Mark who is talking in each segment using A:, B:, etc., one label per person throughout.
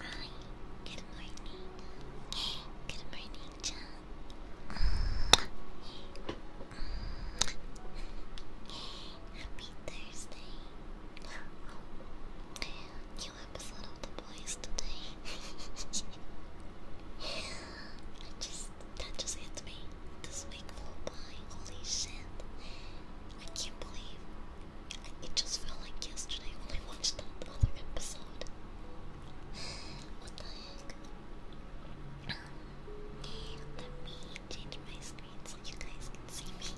A: Hi, good morning. Good morning, John. Happy Thursday. New episode of The Boys today. I just that just hit me. This week flew by. Holy shit! I can't believe it just felt like yesterday when I watched that other episode. What the heck? Um, let me change my screen so you guys can see me.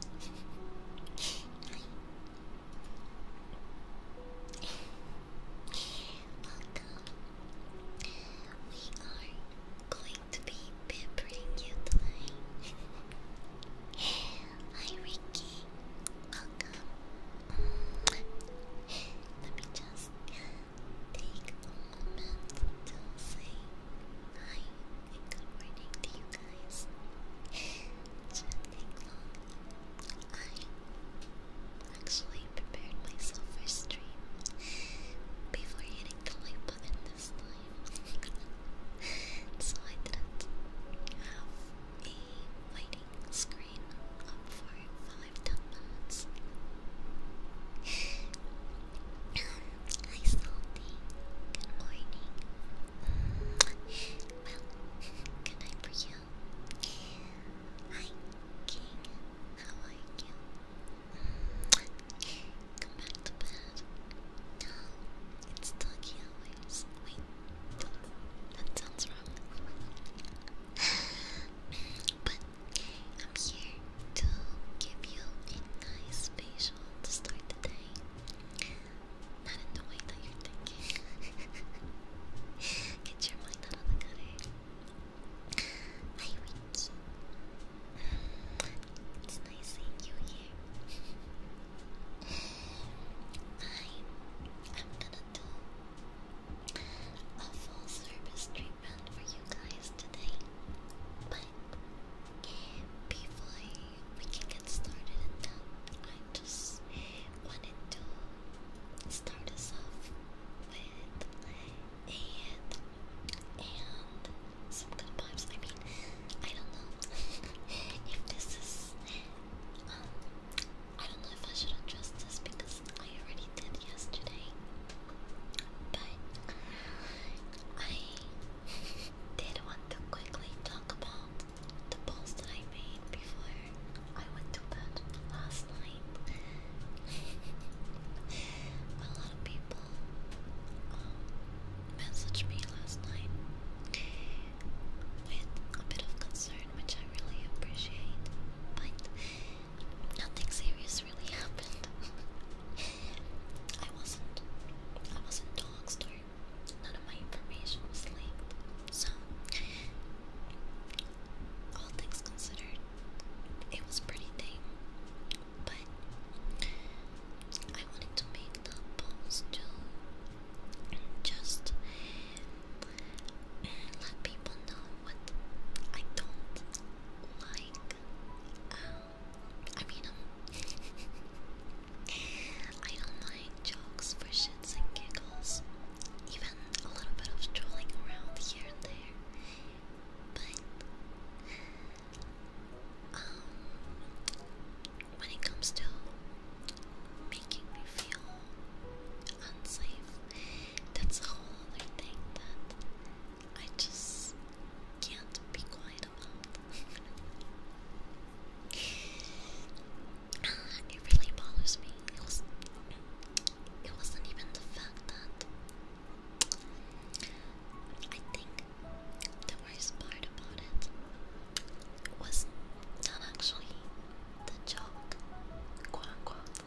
A: Welcome. We are going to be peppering you tonight. Hi, Ricky. Welcome. Let me just take a moment to say hi and good morning to you guys. It shouldn't take actually prepared myself for stream before hitting the like button this time. so I didn't have a waiting screen up for five ten minutes. Hi Salty, good morning. good night for you. Hi, King. How are you? Come back to bed. No, it's doggy Wait, that sounds wrong. but I'm here to give you a nice facial to start the day. Not in the way that you're thinking. Get your mind out of the gutter. Hi, Rich. It's nice seeing you here. I'm, i gonna do a full service treatment for you guys today. But before we can get started I just wanted to start us off with and and some good vibes. I mean, I don't know if this is um I don't know if I should address this because I already did yesterday. But I did want to quickly talk about the post I made before I went to bed last night. A lot of people um, messaged me last night with a bit of concern, which I really appreciate, but nothing serious really happened. I wasn't, I wasn't doxed none of my information was leaked, so all things considered, it was pretty tame, but I wanted to make the polls to just let people know what I don't like. Um, I mean, I don't like jokes for shits and giggles even a little bit of strolling around here and there. But um, when it comes to making me feel unsafe, that's a whole other thing that I just can't be quiet about. Uh, it really bothers me. It wasn't even the fact that. I think the worst part about it was not actually the joke, quote unquote.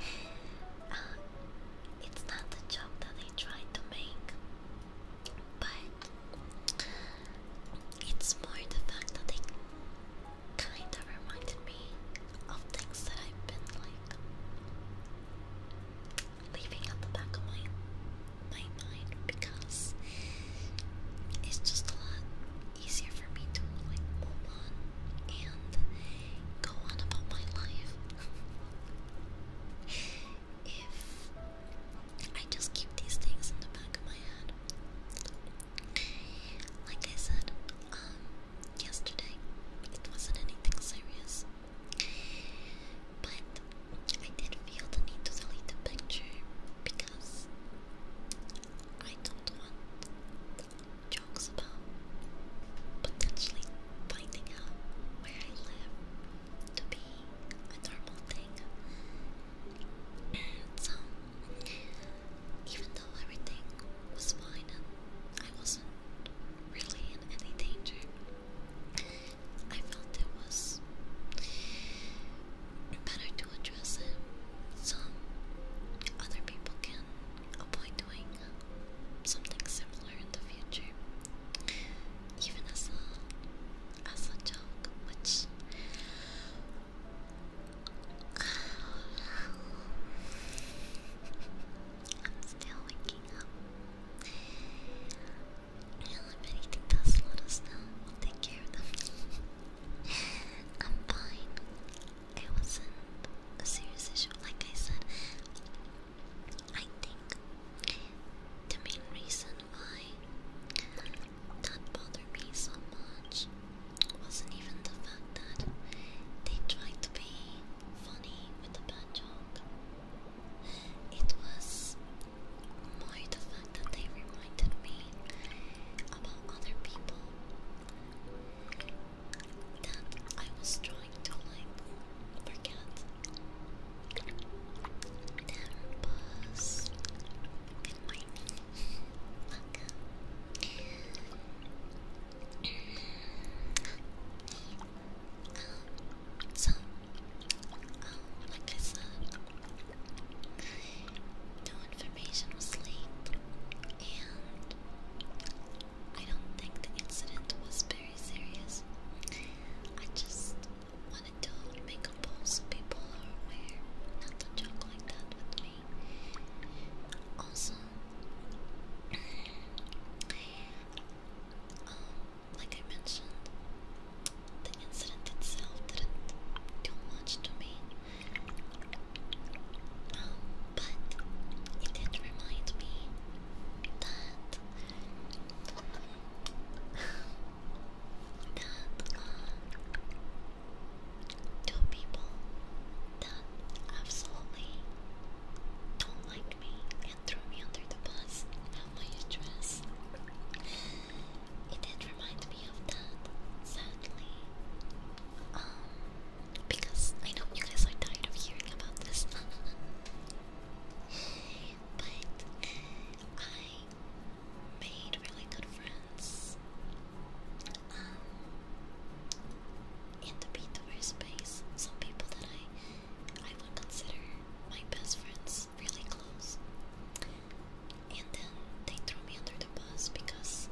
A: Uh, it's not the joke that they tried to make, but it's more the fact that they kind of reminded me of things that I've been like leaving at the back of my my mind because it's just a lot easier for me to like move on and go on about my life if I just keep these things in the back of my head. Like I said, um, yesterday. It wasn't anything serious. But I did feel the need to delete the picture because I don't want jokes about potentially finding out where I live to be a normal thing. so even though everything was fine and I wasn't really in any danger, I felt it was better to address it so other people can avoid doing something similar in the future, even as a as a joke, which I'm still waking up. if anything does let us know, we'll take care of them. I'm fine. It wasn't a serious issue, like I said. I think the main reason why that bothered me so much wasn't even the fact that they tried to be funny with the bad joke. It was more the fact that they reminded me about other people that I was trying to like forget. There was in my knee. Look so, like I said, no information was leaked, and I don't think the incident was very serious. I just wanted to make a poll so people are aware not to joke like that with me. Also, um, like I mentioned, the incident itself didn't do much to me, um, but it did remind me that that uh, two people that absolutely don't like me and throw me under the bus. How my stress? It did remind me of that, sadly. Um, because I know you guys are tired of hearing about this. but I made really good friends. Um, in the Beethoven space, some people that I I would consider my best friends, really close. And then they threw me under the bus because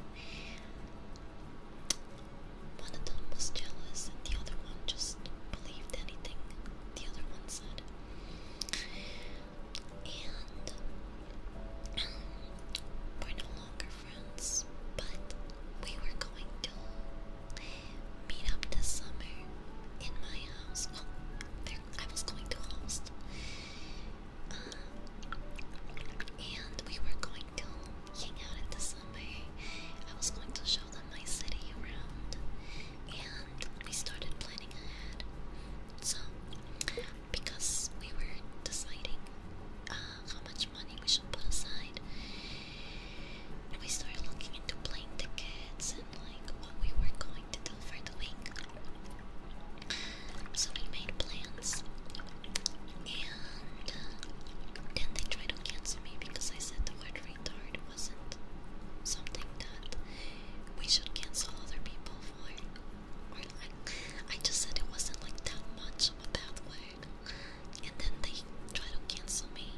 A: one of them was jealous and the other one just believed anything the other one said. And um, we're no longer but we were going to meet up this summer in my house. I was going to host, um, and we were going to hang out in the summer. I was going to show them my city around, and we started planning ahead. So, because we were deciding uh, how much money we should put aside. And we started looking into plane tickets and like what we were going to do for the week. So we made plans, and uh, then they tried to cancel me because I said the word retard wasn't something that we should cancel other people for. Or like, I just said it wasn't like that much of a bad word. And then they tried to cancel me.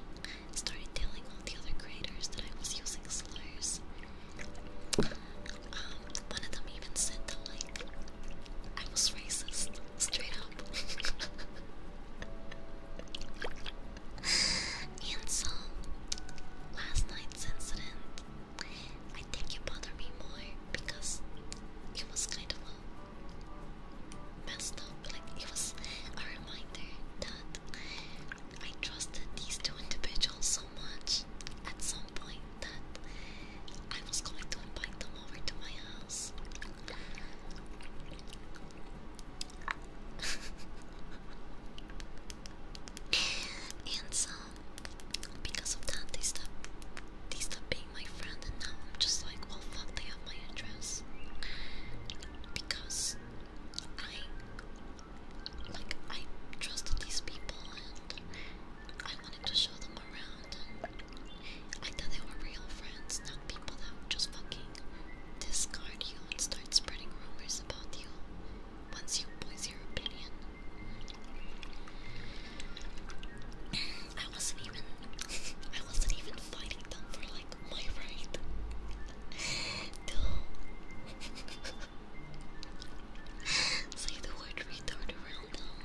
A: Started telling all the other creators that I was using slurs. Um, one of them even said that like I was racist, straight up. and so last night's incident I think it bothered me more because it was kind of messed up. Like it was a reminder that I trusted these two individuals so much at some point that I was going to invite them over to my house. and so, because of that, they stopped they stopped being my friend, and now I'm just like, well, fuck, they have my address. Because I, like, I trusted these people and I wanted to show them around. I thought they were real friends, not people that would just fucking discard you and start spreading rumors about you once you voice your opinion. I wasn't even I wasn't even fighting them for like my right. say the word retard around them.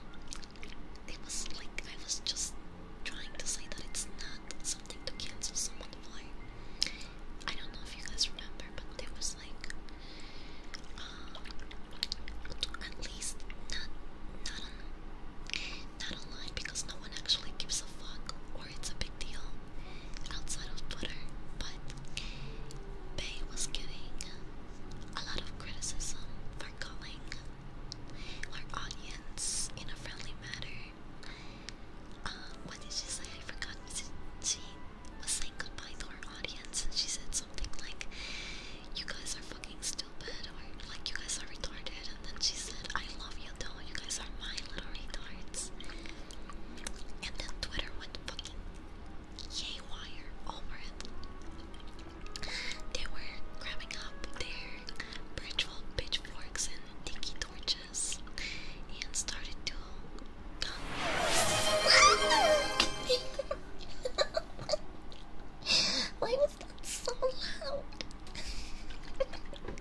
A: It was like I was just trying to say that it's not something to cancel someone by. I don't know if you guys remember, but there was like um, at least not not online because no one actually gives a fuck or it's a big deal outside of Twitter. But Bay was getting a lot of criticism for calling our audience in a friendly manner. Um, what did she say? I forgot. She was saying goodbye to her audience and she said something like, You guys are fucking stupid like you guys are retarded. And then she said, I love you though, you guys are my little retards. And then Twitter went fucking yay over it. They were grabbing up their pitchforks and tiki torches and started to. Why so loud.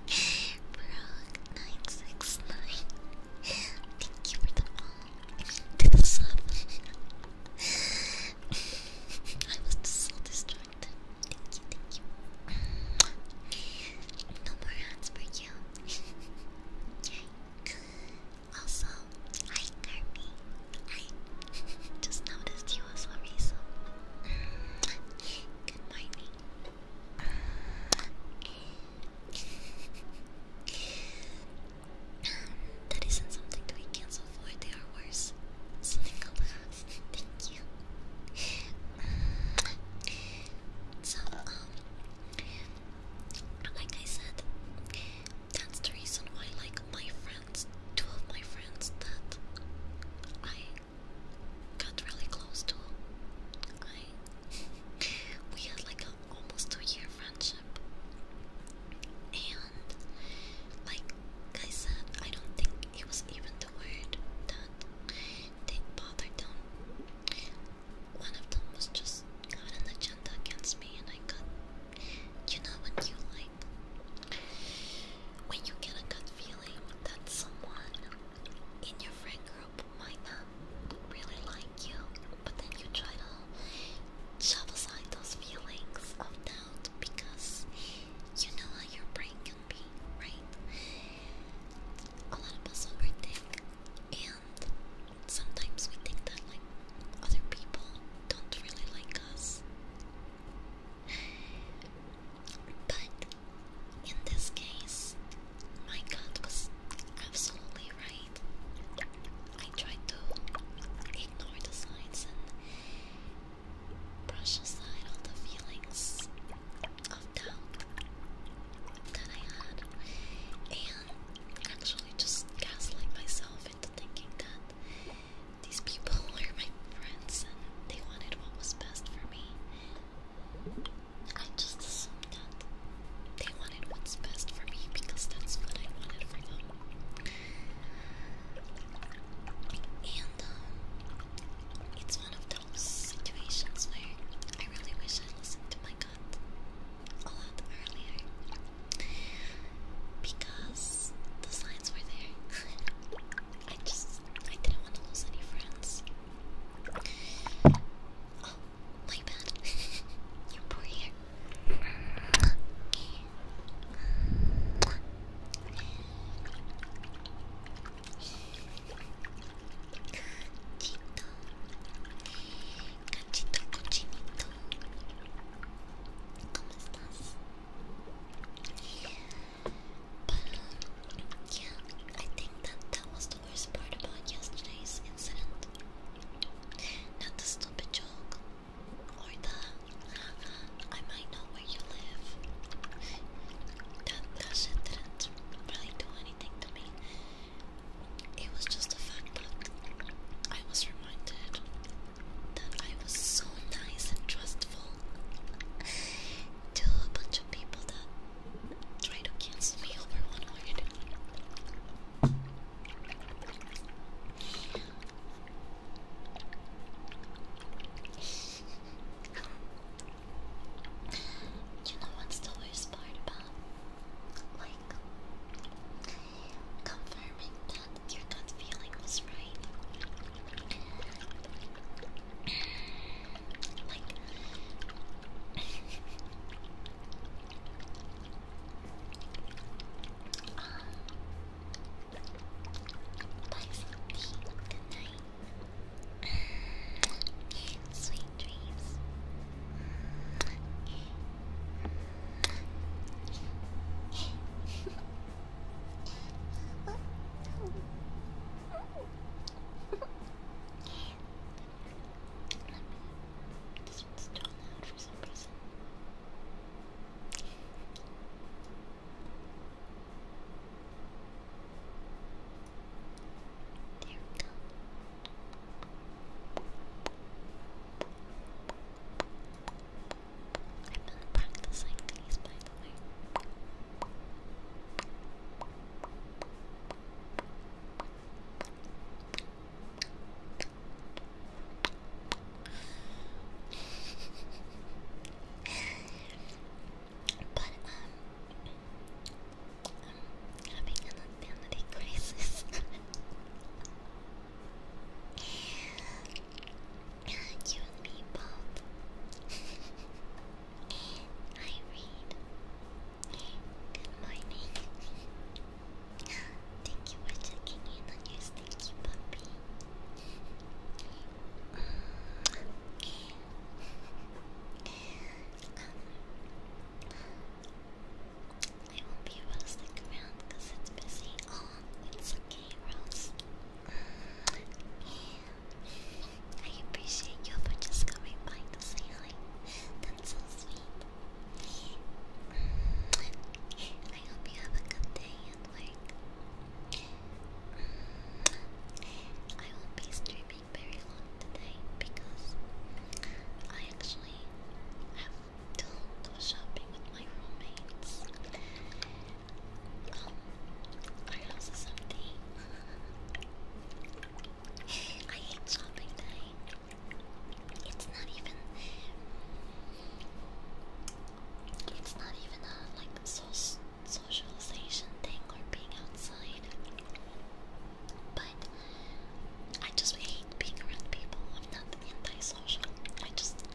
A: Brock969. Thank you for the all to the sub. I was so distracted. Thank you, thank you. No more hands for you. okay. Also, hi Kirby. Hi. Just noticed you was a reason. that isn't something to be cancelled for, they are worse. So thank you. So, um, like I said, that's the reason why, like, my friends friends, two of my friends that I got really close to. I we had like a almost two year friendship, and like I said, I don't think it was even the word that they bothered them. One of them was just got an agenda against me, and I got you know when you like when you get a good feeling that someone in your friend group might not really like you, but then you try to shove aside those feelings of doubt because you know how your brain can be, right? A lot of us overthink, and sometimes we think that like other people don't really like us, but in this case, my gut was absolutely right. I tried to ignore the signs and brush aside all the feelings of doubt that I had, and actually just gaslight myself into thinking that these people are my friends and they wanted what was best for me. I just assumed that they wanted what's best for me because that's what I wanted for them. And um, it's one of those situations where I really wish I listened to my gut a lot earlier because the signs were there. I just I didn't want to lose any friends. Oh, my bad. You're poor here. Cachito. Cachito cochinito. ¿Cómo estás? But uh, yeah, I think that that was the worst part about yesterday's incident. Not the stupid joke or the I might know where you live. That that didn't really do anything to me. It was just the fact that I was reminded that I was so nice and trustful to a bunch of people that try to cancel me over one word. you know what's the worst part about like confirming that your gut feeling was right? like Sweet dreams. This one's still loud for some reason. There we go. I've been practicing these, but but um, I'm having an identity crisis. you and me both. I read. Good morning. Thank you for checking in on your stinky puppy. I won't be roasting around because it's busy. Oh, it's okay, Rose. I appreciate you for just coming by to say hi. That's so sweet. Mm, I hope you have a good day at work. Mm, I won't be streaming very long today because I actually have to go shopping with my roommates. Um, our house I hate shopping night. It's not even. It's not even a like socialization thing or being outside. But I just hate being around people. I'm not antisocial. I just.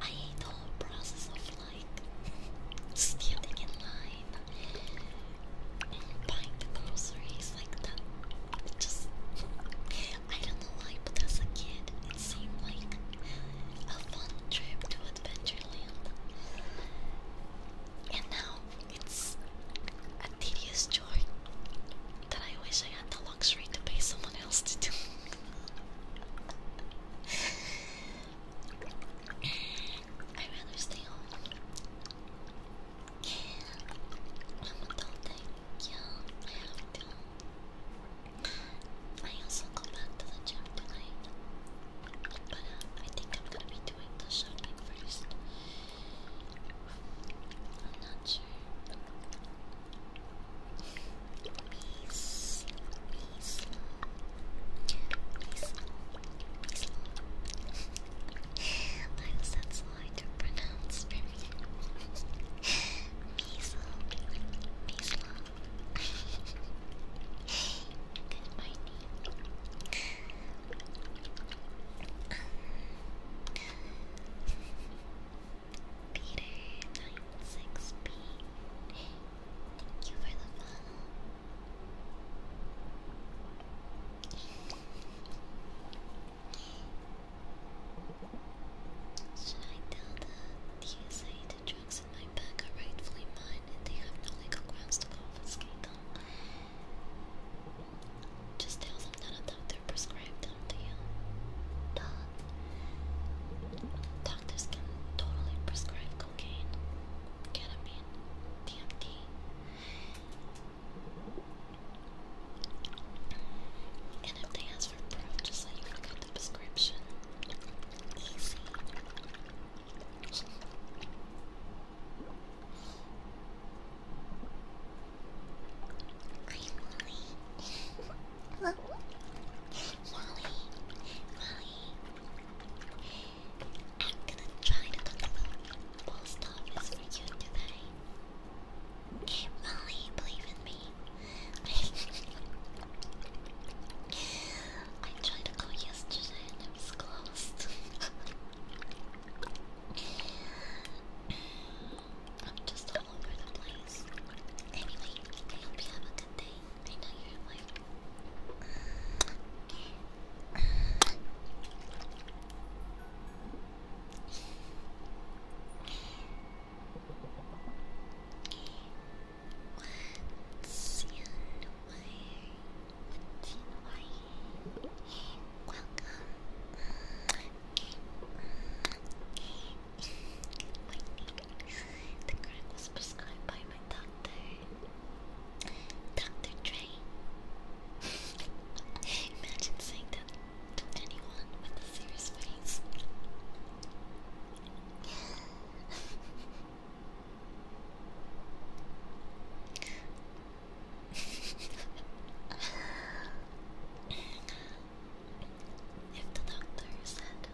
A: I hate the whole process of like standing in line and buying the groceries like that. It just I don't know why, but as a kid, it seemed like a fun trip to Adventureland. And now it's a tedious chore that I wish I had the luxury to pay someone else to do. I'd rather stay home. I'm adulting. Yeah, I have to. I also go back to the gym tonight. But uh, I think I'm gonna be doing the shopping first. I'm not sure. Peace. Peace. Peace. Peace. I was that's hard to pronounce for me. Peace. Peace. Good morning. Um, Peter96P. Thank you for the follow. Should I tell the TSA the drugs in my bag are rightfully mine and they have no legal grounds to confiscate them? Just tell them that a them to you. Duh. Doctors can totally prescribe cocaine, ketamine, DMT. And if they ask for proof, just like you got the prescription. I'm Molly. Molly, Molly, I'm gonna try to talk about post office for you today. Molly, believe in me. I tried to call yesterday and it was closed. I'm just all over the place. Anyway, I hope you have a good day. I know Welcome. The crack was prescribed by my doctor. Dr. Dre. Imagine saying that to anyone with a serious face. If the doctor said,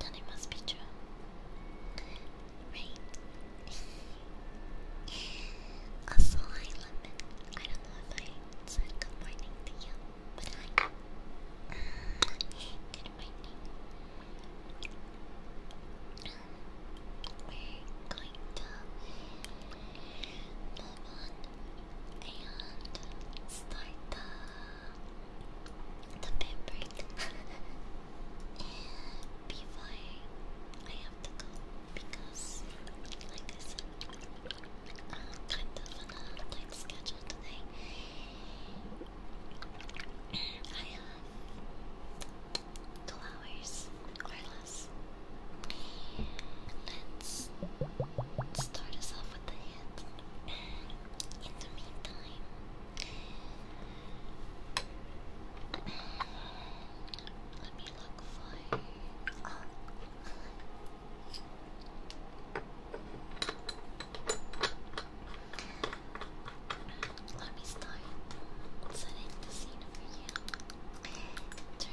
A: then it must be true. Right? also, hi, Lemon. I don't know if I good morning to you, but hi. good morning. We're going to move on and start the, the pampering. and before I have to go, because like I said, i kind of a tight schedule today. I have two hours or less. Let's start us off off the hands. In the meantime, let me look for. Let me start setting the scene for you.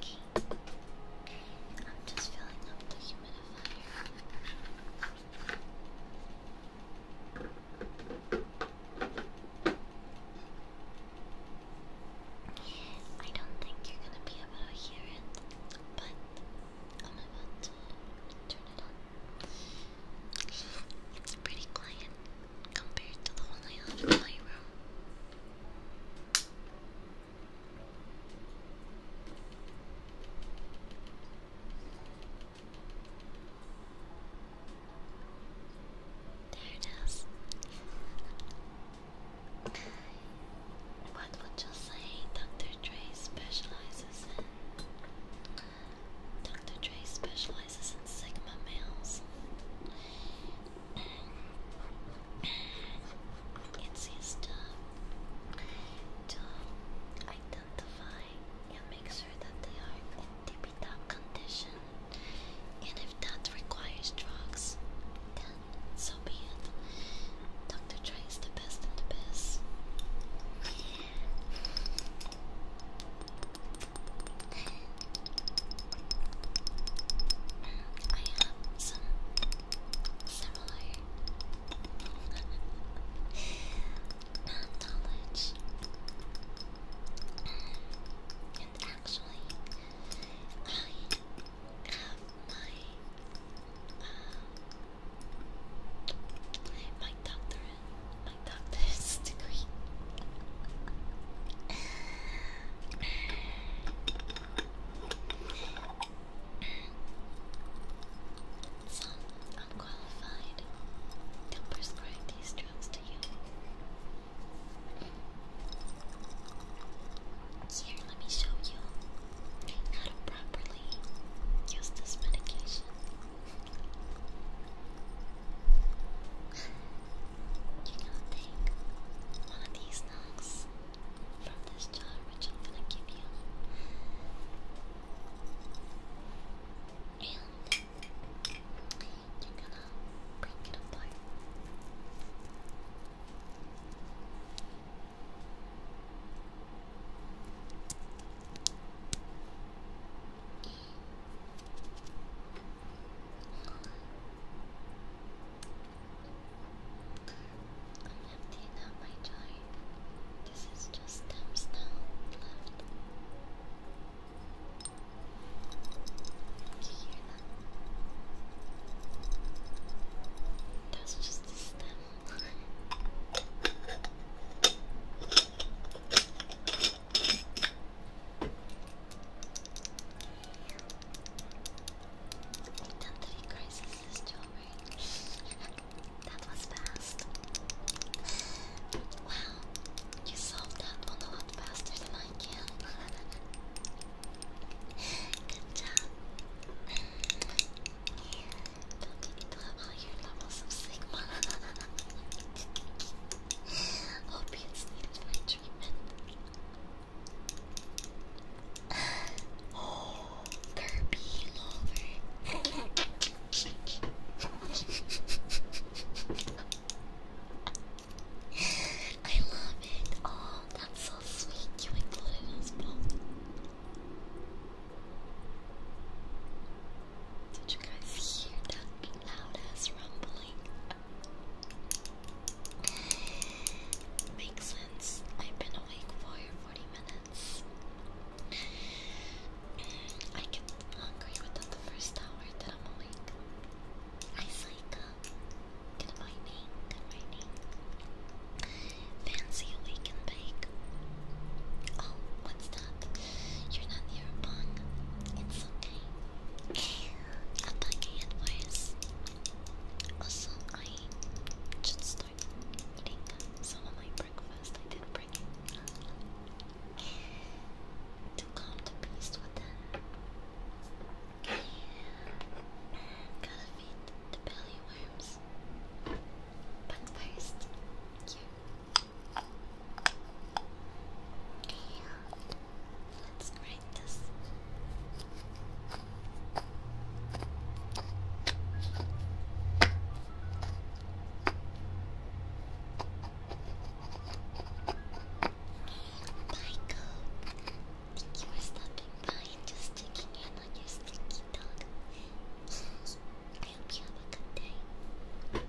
A: Okay. I'm just filling up the humidifier. I don't think you're gonna be able to hear it, but I'm about to turn it on. It's pretty quiet compared to the one I have in my room. There it is. What would you say Dr. Dre specializes in? Dr. Dre specializes specializes in Sigma males. It's used to, identify and make sure that they are in tippy top condition. And if that requires drugs, then so be it. Dr. Dre is the best and the best. I have some knowledge, and actually, I have my uh, my doctorate, my doctor's degree. Some unqualified can prescribe these drugs to you. Here, let me show you how to properly use this medication. You're gonna take one of these knocks from this jar, which I'm gonna give you. And you're gonna break it apart. I'm emptying out my jar. This is just stems now left. you hear that? That's just a stem. Identity crisis is jewelry. that was fast. Wow, you solved that a lot faster than I can. Good job. Don't you need to have higher levels of Sigma? Hope it's needed treatment oh, Kirby I love it. Oh, that's so sweet. You included us both. Did you guys hear that loud ass rumbling? Makes sense. I've been awake for 40 minutes. Mm, I get hungry within the first hour that I'm awake. I psych up. Good morning, good morning. Fancy awake bake. Oh, what's that? You're not near bong. It's okay attacking it was also I should start eating some breakfast. I did bring to calm the beast with that. Yeah. the belly worms. But first, Yeah. Let's grind this. Michael, thank you for stopping by just sticking in on your sticky dog. I hope you have a good day.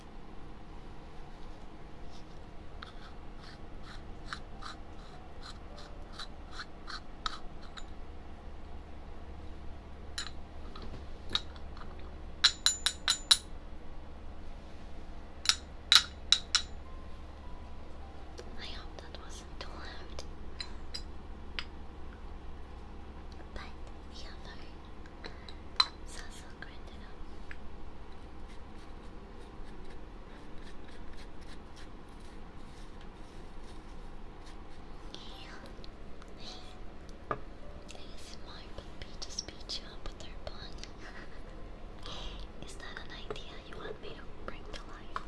A: I hope that wasn't too loud. But the other is also grinded up smart puppy just beat you up with her bun. Is that an idea you want me to bring to life?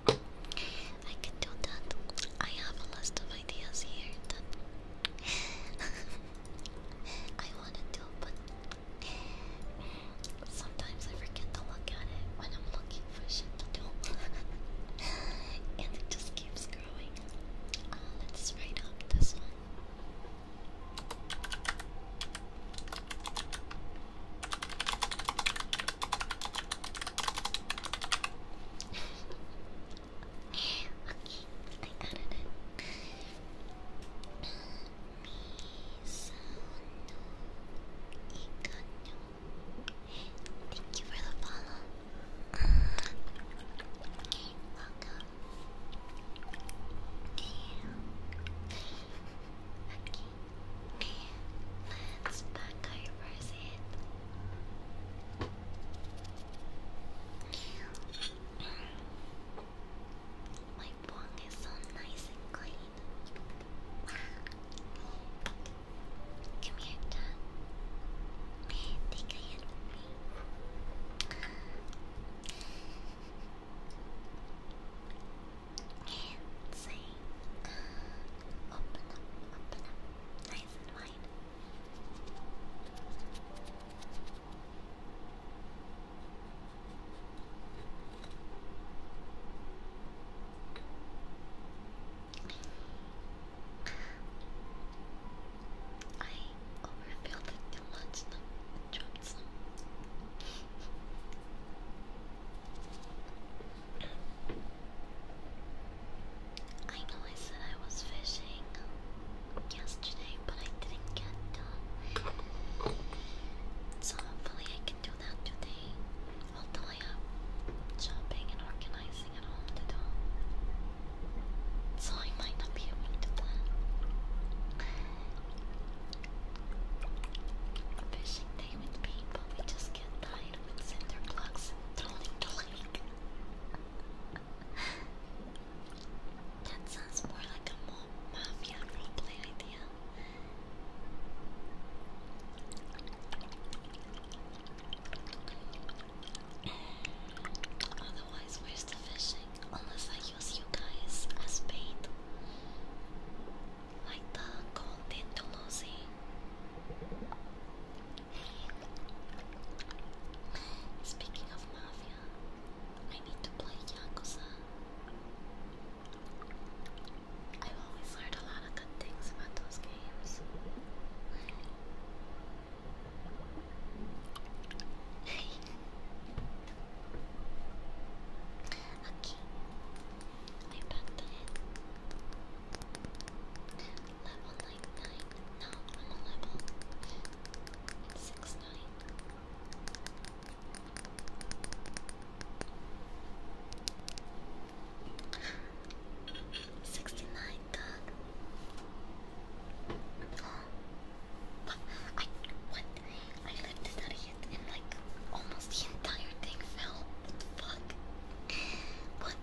A: I can do that. I have a list of ideas here I want to do, Sometimes I forget to look at it when I'm looking for shit to do. and it just keeps growing. Uh, let's write up this one. okay, I got it. Thank you for the follow. Uh, welcome. Let's back over it. It's so nice and clean. Come here, Tom. Take a open up, open up, nice and wide. I overfilled it too I know I said I was fishing yesterday but I didn't get done. So hopefully I can do that today. Although I have shopping and organizing at home So I might not be able to do Fishing day with people, we just get tired with cinder blocks and throwing the lake. that sounds more like a mafia roleplay idea. Otherwise, where's the fishing? Unless I use you guys as bait. Like the golden Toulouse. Speaking of mafia, I need to play Yakuza. I've always learned a lot of good things about those games. okay. I'm back to Level nine. No, i level six nine. Sixty-nine dog. Oh, I what? I lifted that hit and like almost the entire thing fell. fuck? What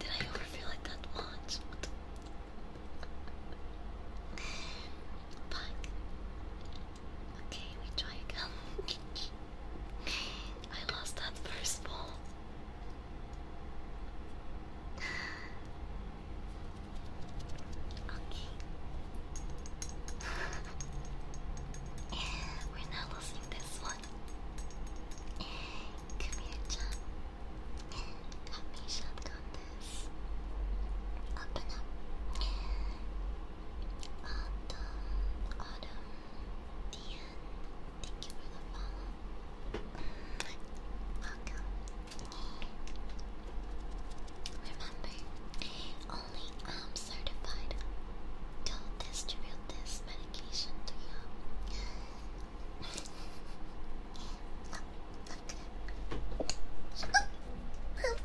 A: did I overfeel it that much? fuck? Okay, we try again. I lost that first ball. Okay. We're not losing this one. Come here, John. Got me shotgun this. Open up. Autumn, Autumn, Dian, thank you for the follow. Welcome. Remember, only i um, certified to distribute this medication to you. Look, look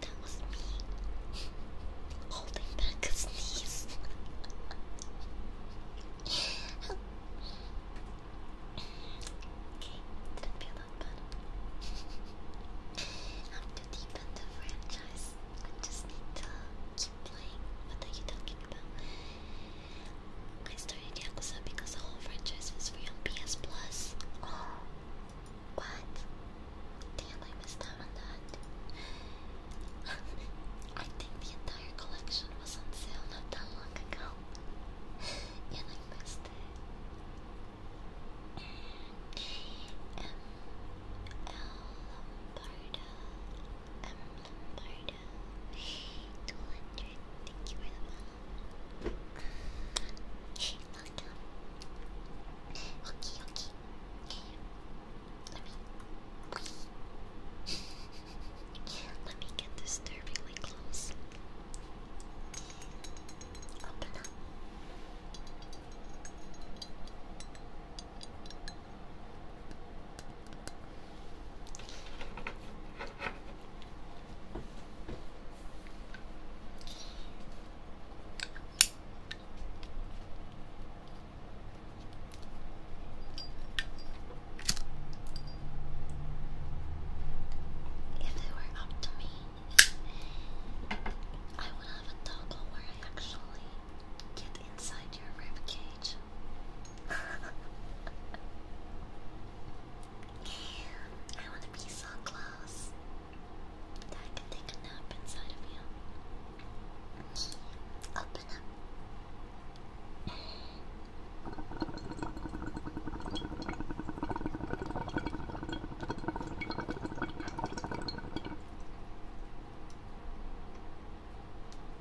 A: that was me holding back a sneeze. Okay, didn't feel that bad. I'm too deep in the franchise. I just need to keep playing. What are you talking about? I started Yakuza because the whole franchise was free on PS Plus. what? Damn, I missed out on that. I think the entire collection was on sale not that long ago, and I missed it. Mm, 200. Thank you for the money. Okay, okay. Let me. Let me get this disturbingly close. Open if it were up to me, I would have a toggle where I actually get inside your rib cage I want to be so close I can take a nap inside of you. Open up.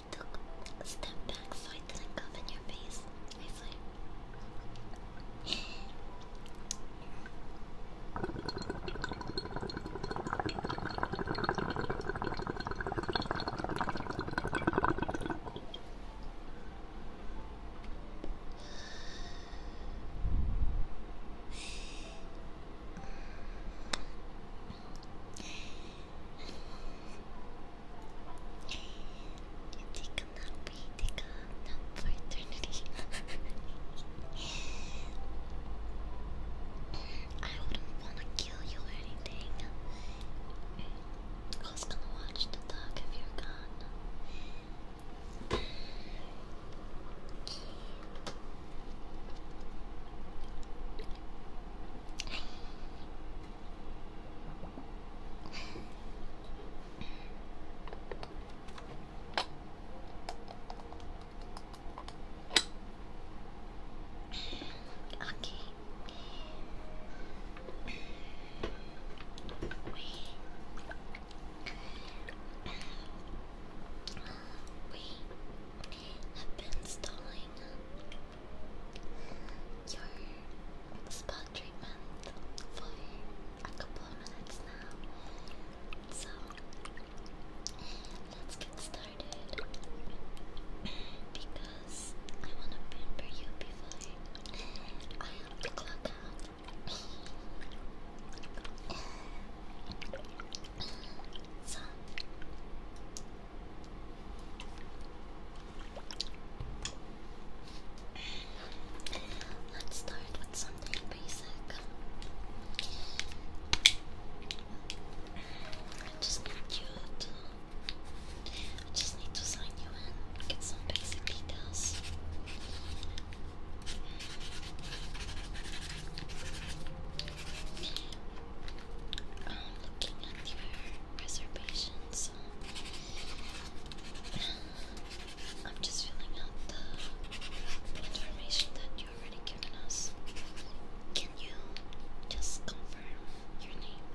A: I a step back so I didn't cough in your face. I see. You take a nap, you take a nap for eternity. I wouldn't wanna kill you or anything. Who's gonna watch the dog if you're gone? Okay. We, have been stalling your spa treatment for a couple of minutes now. So let's get started because I want to pamper you before I have to clock out. so Let's start with something basic. just need to. just need to sign you in, get some basic details um, looking at your reservations, um, I'm just filling out the information that you already given us. Can you just confirm your name?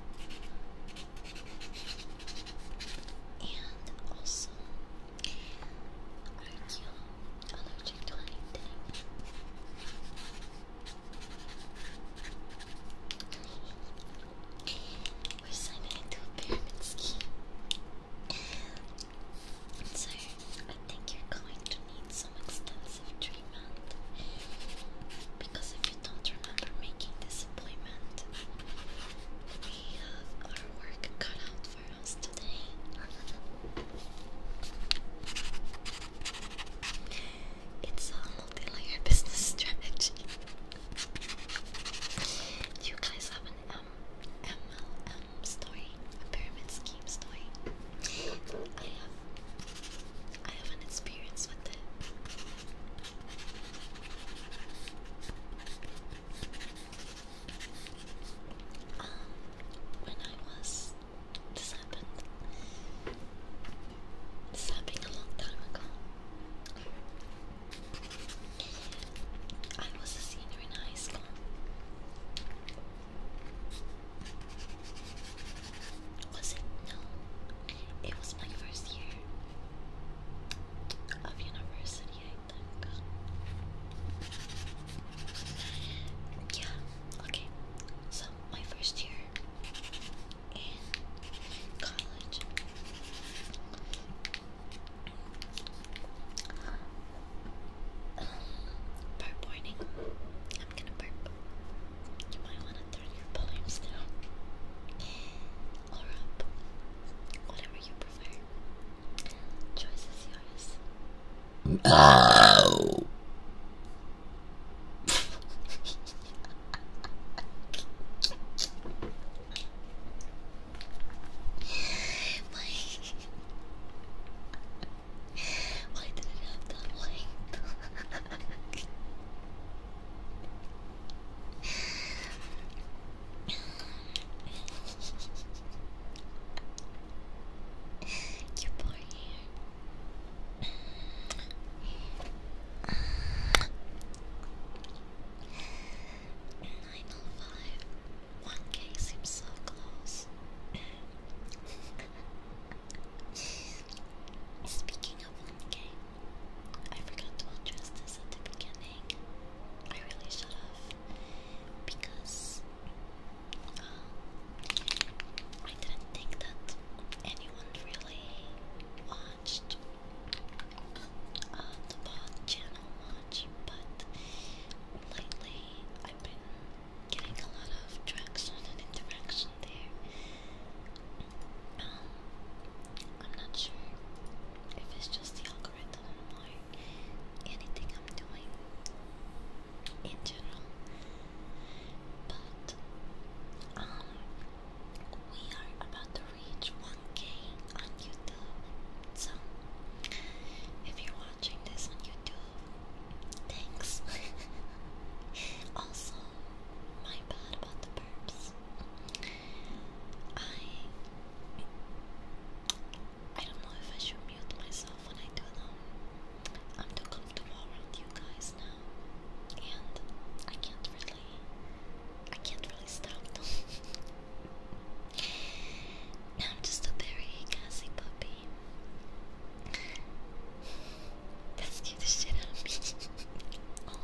A: And also, are you allergic to anything? We're signing into a pyramid scheme. So, I think you're going to need some extensive treatment. Because if you don't remember making this appointment, we have our work cut out for us today. It's a multi-layer business strategy. you guys have an MLM um, story? A pyramid scheme story? I have I have an experience with it. Um, when I was this happened this happened a long time ago. I was a senior in high school. Was it? No. It was my first year of university, Yeah, okay. So, my first year in college. Um, burp I'm gonna burp. You might wanna turn your volumes down. Or up. Whatever you prefer. Choice is yours. No. Why? Why did it have that light? Your poor hair. 905. 1k seems so close. Speaking of 1k, I forgot to address this at the beginning. I really should have. Because um, I didn't think that anyone really watched uh, the channel much, but lately I've been getting a lot of traction and interaction there. Um, I'm not sure if it's just the algorithm or anything I'm doing in general, but um, we are about to reach 1k on YouTube. So, if you're watching this on YouTube, thanks. also, my bad about the burps. I I don't know if I should mute myself when I do them. I'm too comfortable around you guys now and I can't really, I can't really stop them. I'm just a very gassy puppy. that scared the shit out of me. oh.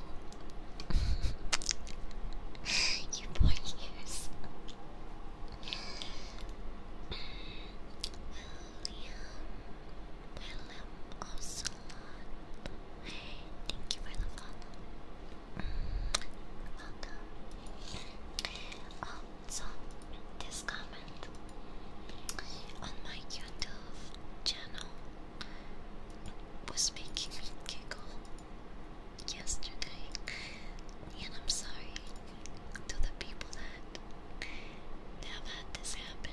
A: you poor ears. William, William Ocelot, Thank you for the follow. Mm, welcome. Oh, so this comment on my YouTube channel was making me giggle yesterday, and I'm sorry to the people that have had this happen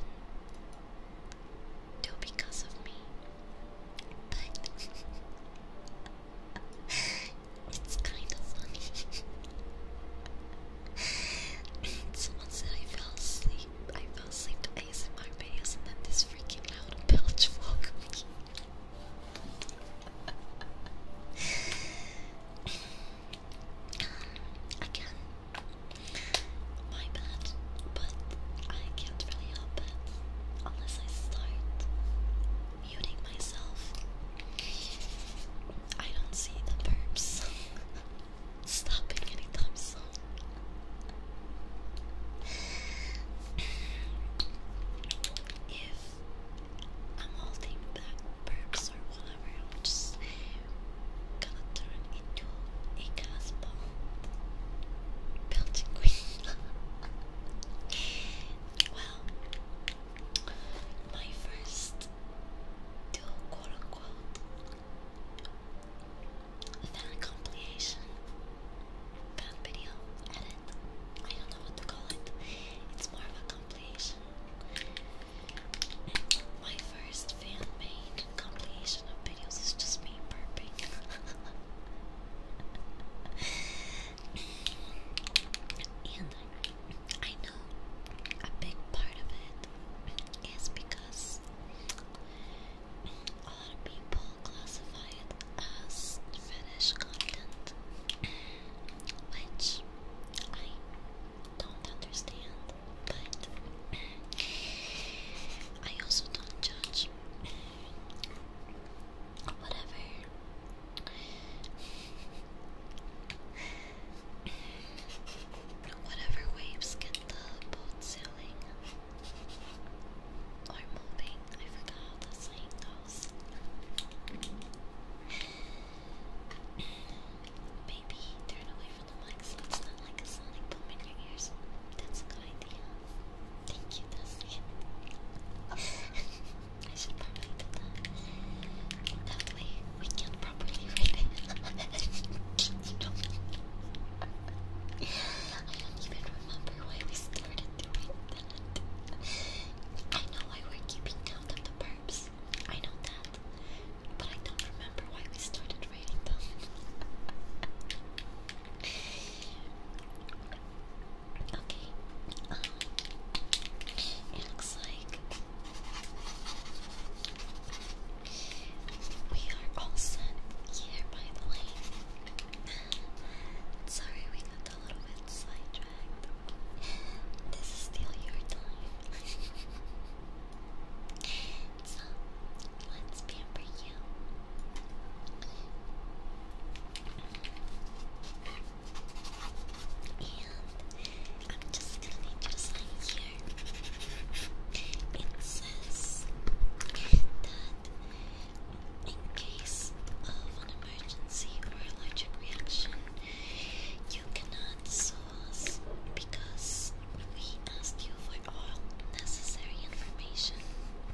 A: do because of me. But it's kind of funny. Someone said I fell asleep. I fell asleep to ASMR videos and then this freaking loud belch woke me. Again, my bad, but I can't really help it unless I start muting myself. I don't see the burps stopping anytime soon. if I'm holding back burps or whatever, I'm just gonna turn into a gas bomb belching queen. well, my first two quote unquote compilation fan video edit. I don't know what to call it. It's more of a compilation. My first fan made compilation of videos is just me burping. and I know a big part of it is because a lot of people classify it as fetish content, which I don't understand but I also don't judge. Whatever. Whatever waves get the boat sailing or moving, I forgot how the saying goes. Baby, turn away for the mic it's not like a sonic boom in your ears. That's a good idea. Thank you, Dusty. I should probably do that. That way we can properly read it. you know? I don't even remember why we started doing that. I know why we keeping count of the burps. I know that. But I don't remember why we started okay. it looks like we are all set here, by the lake. Sorry, we got a little bit sidetracked. This is still your time. let's pamper you. And I'm just gonna need your It says that in case of an emergency or allergic reaction, you cannot sauce because we ask you for all necessary information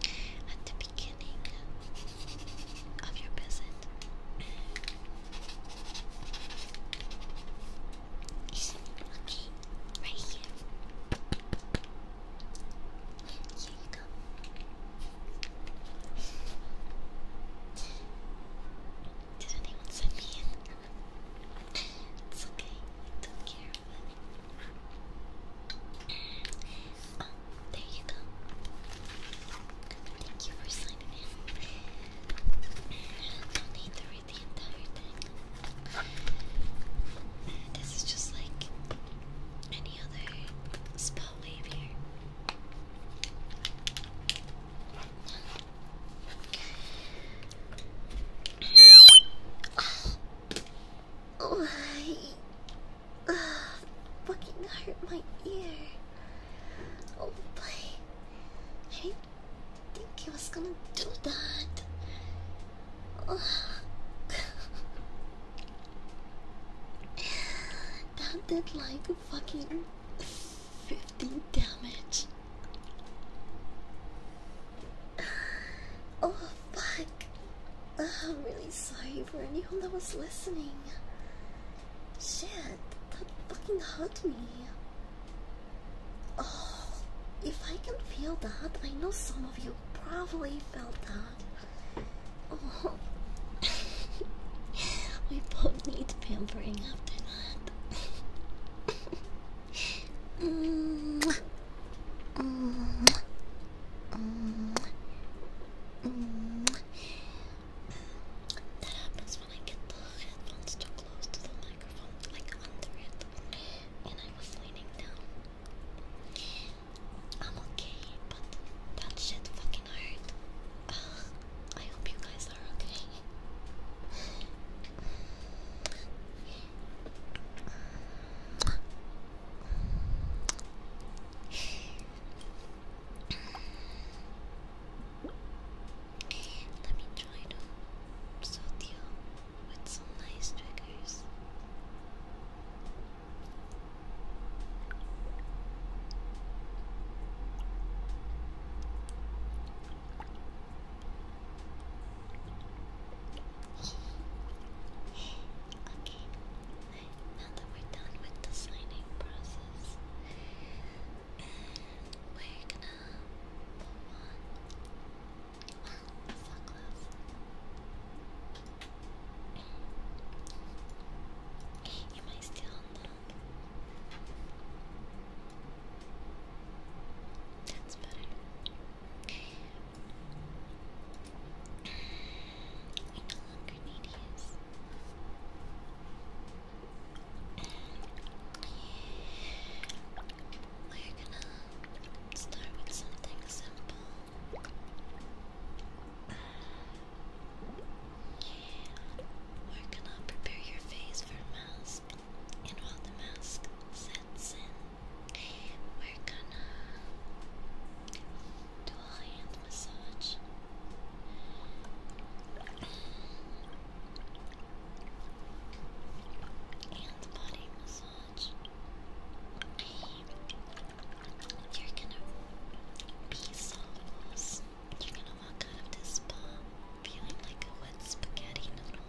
A: at the beginning of your visit. Okay, right here. Here you go. Did anyone send me in? it's okay, don't care there you go. Thank you for signing in. Don't need to read the entire thing. This is just like any other spell wave here. Oh, my! uh, fucking hurt my ear. Oh my! I didn't think he was gonna do that. Oh. that did like fucking 50 damage. Oh Fuck. I'm really sorry for anyone that was listening. Shit, that fucking hurt me. Oh, if I can feel that, I know some of you probably felt that. Oh, we both need pampering after that. mm Mm -hmm. Mm -hmm. That happens when I get the headphones too close to the microphone, like under it, and I was leaning down. I'm okay, but that shit fucking hurt. I hope you guys are okay. Let me try to soothe you uh, with some nice triggers. Okay, now that we're done with the signing process, we're gonna move on. Wow, so close. Am I still on that? That's better. I no longer need We're gonna start with something simple. We're gonna prepare your face for a mask, and while the mask Zensen. We're gonna do a hand massage. And body massage. You're gonna be so loose. You're gonna walk out of this spa feeling like a wet spaghetti noodle.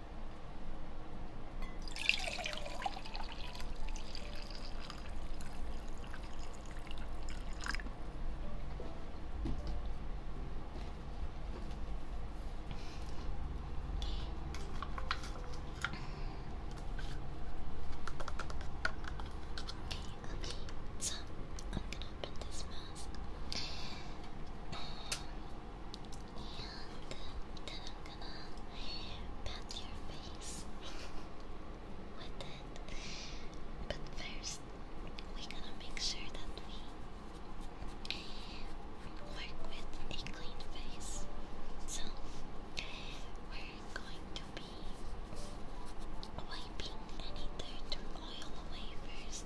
A: Okay, so I'm gonna open this mask. Um, and then I'm gonna pat your face with it. But first, we we're to make sure that we work with a clean face. So, we're going to be wiping any dirt or oil away first.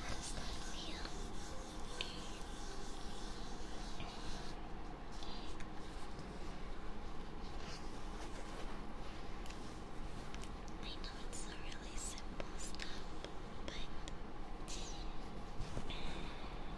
A: That's not I know it's a really simple step, but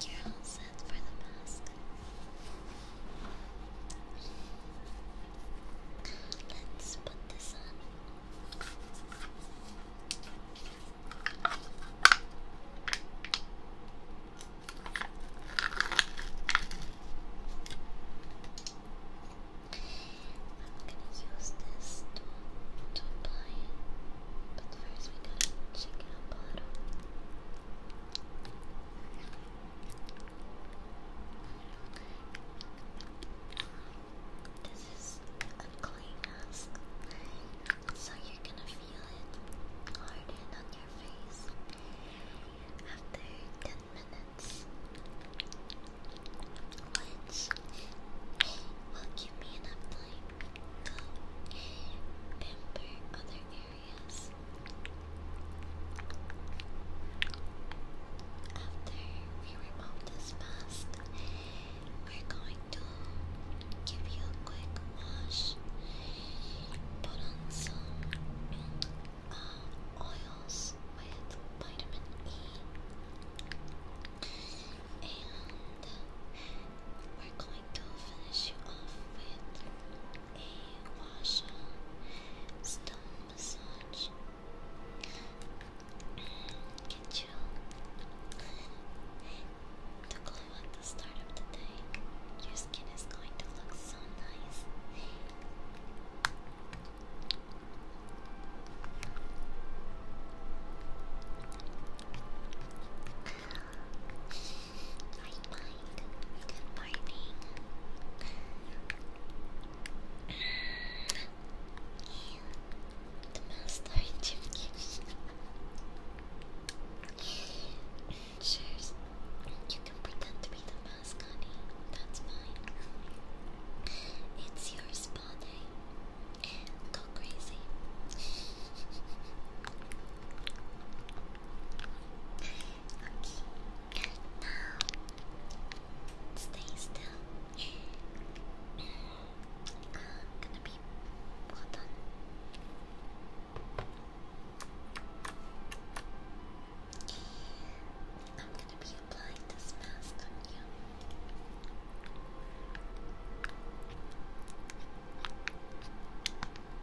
A: You're all set for the mask. Let's put this I'm gonna use this to, apply it, but first we gotta check it out bottom. This is a clay so you're gonna feel it hardened on your face after 10 minutes, which will give me enough time pamper other areas after we remove this mask we're going to give you a quick wash put on some oils with vitamin E and we're going to finish you off with a washer stone massage. Get you to go at the start of the day. Your skin is going to look so nice. Good morning. yeah. The master introduction. Cheers. You can pretend to be the mask, honey. That's fine. It's your spa eh? Go crazy. Okay. Now stay still. I'm gonna be hold I'm gonna be applying this mask on you.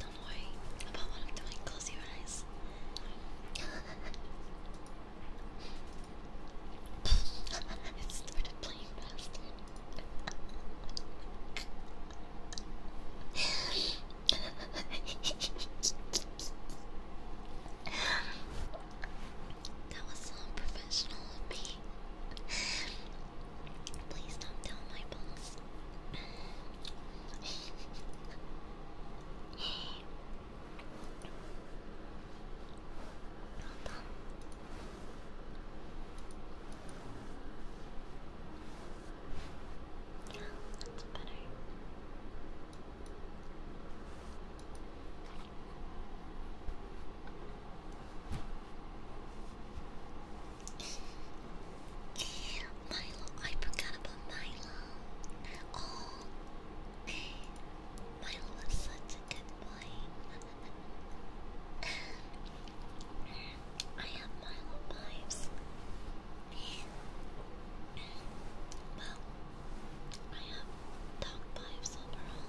A: Don't worry about what I'm doing. Close your eyes. it started playing faster. that was unprofessional of me. Please don't tell my boss. that's better. Milo, I forgot about Milo. Oh, Milo was such a good boy. I have Milo vibes. Well, I have dog vibes overall.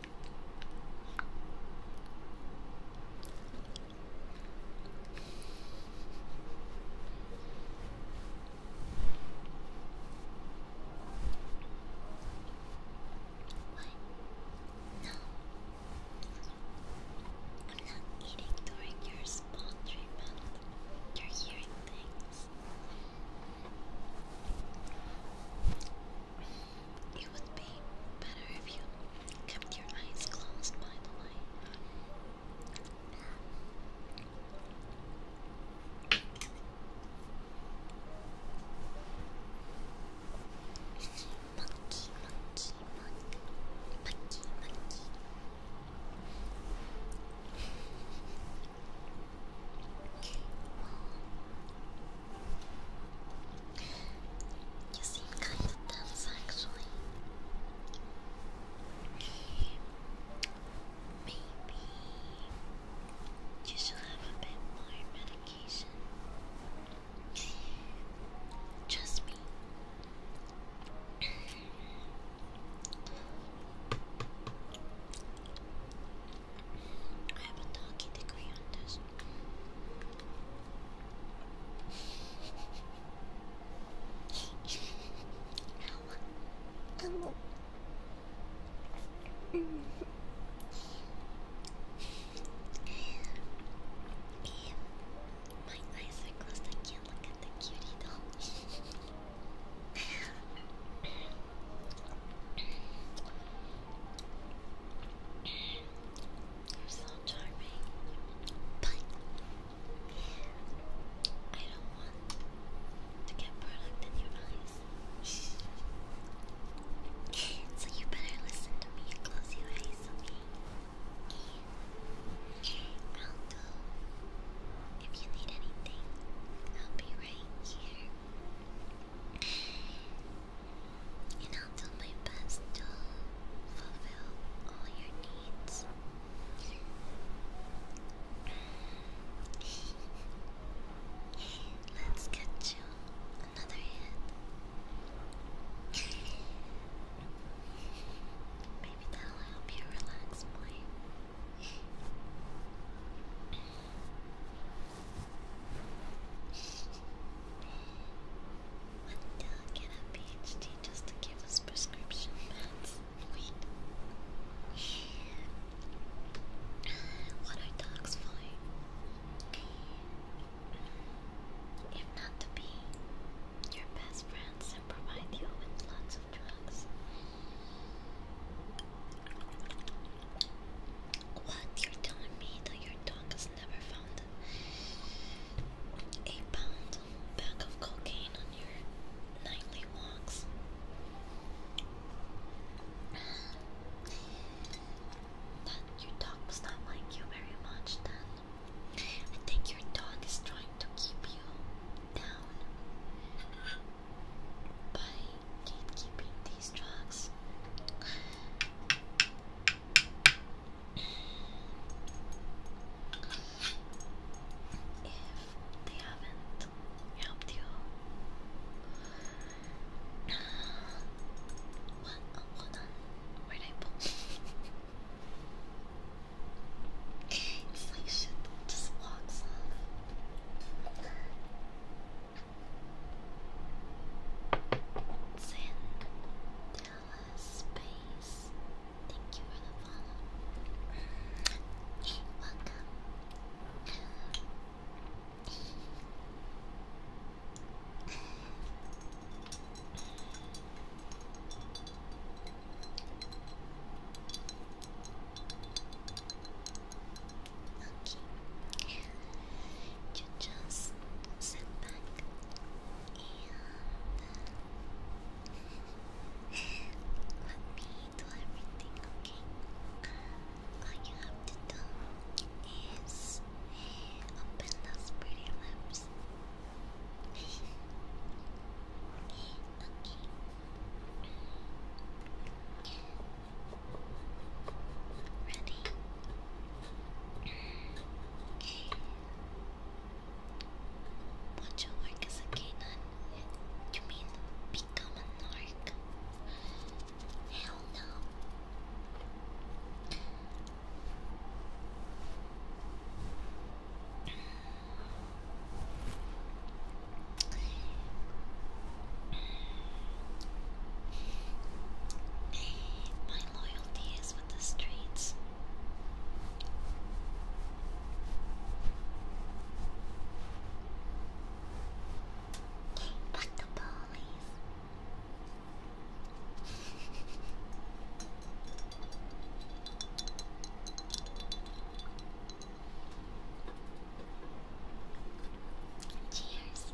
A: No. I'm not eating during your spa treatment. You're hearing things. It would be better if you kept your eyes closed, by the way. You seem kind of dense actually. Maybe you should have a bit more medication. Trust me. I have a doggy degree on this. あのうん My eyes are closed, I can't look at the cutie doll. You're so charming. But I don't want to get product in your eyes. so you better listen to me and close your eyes, okay? I'll go. If you need anything, I'll be right here and I'll do my best to fulfill all your needs. Let's get you another hit. Maybe that'll help you relax, boy. Until I get a PhD just to give us prescription meds. Wait. What are dogs for? If not to be your best friends and provide you with lots of drugs. What? You're telling me that your dog is never found a pound bag of cocaine on your nightly walks. your dog does not like you very much, then. I think your dog is trying to keep you down by gatekeeping these drugs if they haven't helped you. Uh, what? on. Where did I put? it's like just walks off. Sin, Stella Thank you for the follow. you welcome. Okay you just sit back and let me do everything, okay? All you have to do is open those pretty lips. okay. Ready? Would you work as a canine? You mean become a narc? Hell no. My loyalty is the streets. But the police. Cheers.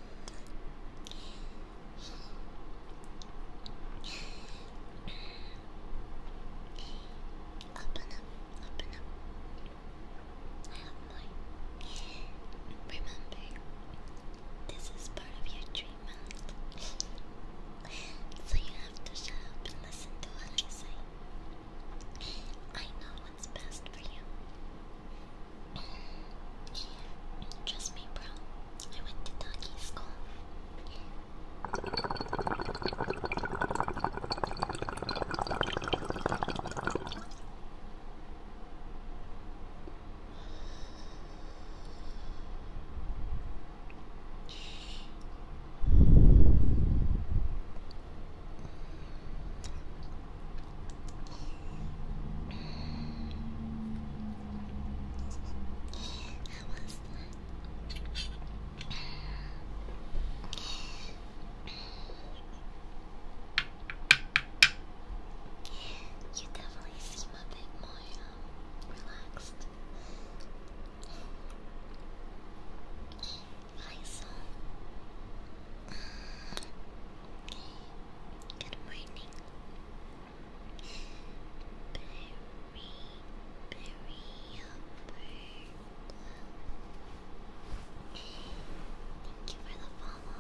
A: Open up, open up. I have mine. Remember, this is part of your treatment. so you have to shut up and listen to what I say. I know what's best for you. Trust me, bro. I went to doggy school. You definitely seem a bit more um, relaxed. Hi, Soul. Good morning. Berry, berry, upper Thank you for the follow.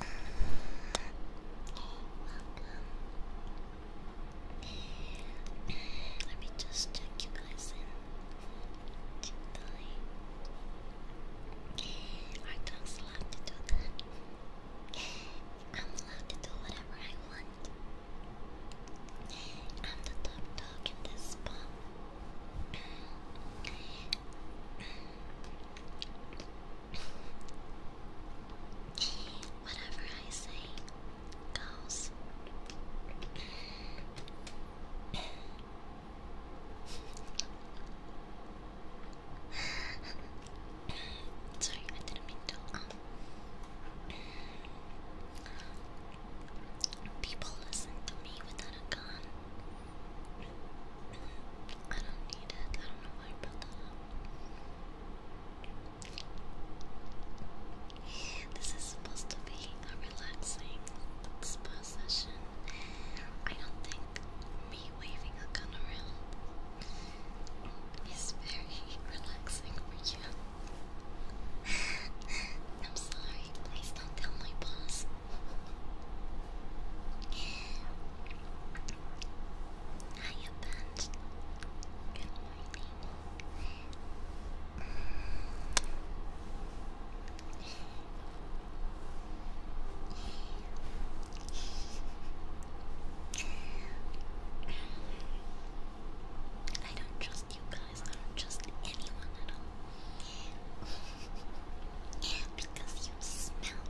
A: Welcome. Let me just check you guys our dogs love to do that. I'm allowed to do whatever I want. I'm the top dog in this spa. Whatever I say goes. Sorry, I didn't mean to. Um, people listen to me without a gun. I don't need it. I don't know why I brought that This is supposed to be a relaxing spot session. I don't think me waving a gun around is very relaxing for you. I'm sorry, please don't tell my boss. Hiya, Bench. Good morning. I don't trust you guys, I don't trust anyone at all. because you smell.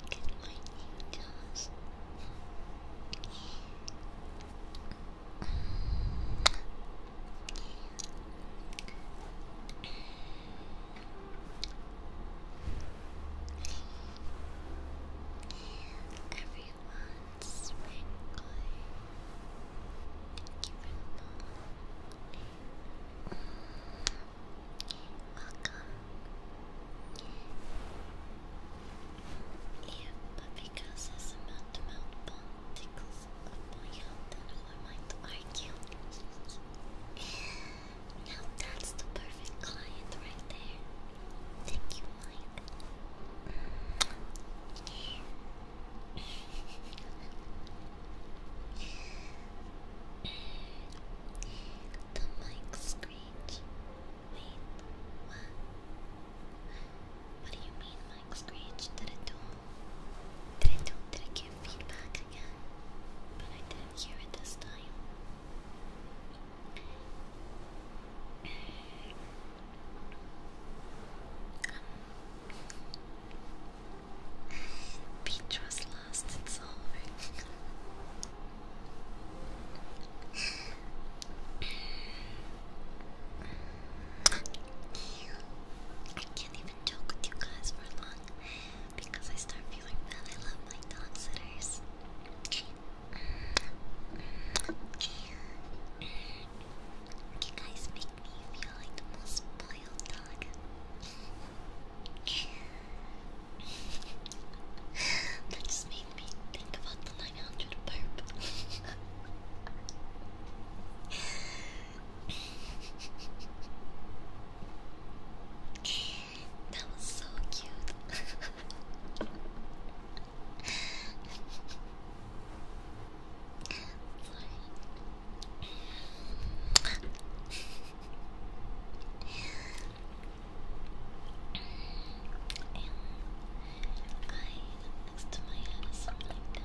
A: Good morning, guys. Everyone's wrinkling. Thank you very much. Welcome but because his amount to mount tickles my health, then I to argue? now that's the perfect client right there. Thank you, Mike. the mic screech Wait, what? What do you mean, Mike Screech? Did it do? Did it do? Did it give feedback again? But I didn't hear it this time. Um, Beatrice lost its soul. I can't even joke with you guys for long because I start feeling bad. I love my dog sitters. You guys make me feel like the most spoiled dog. That just made me think about the 900 burp. that was so cute. And I, next to my head is something like you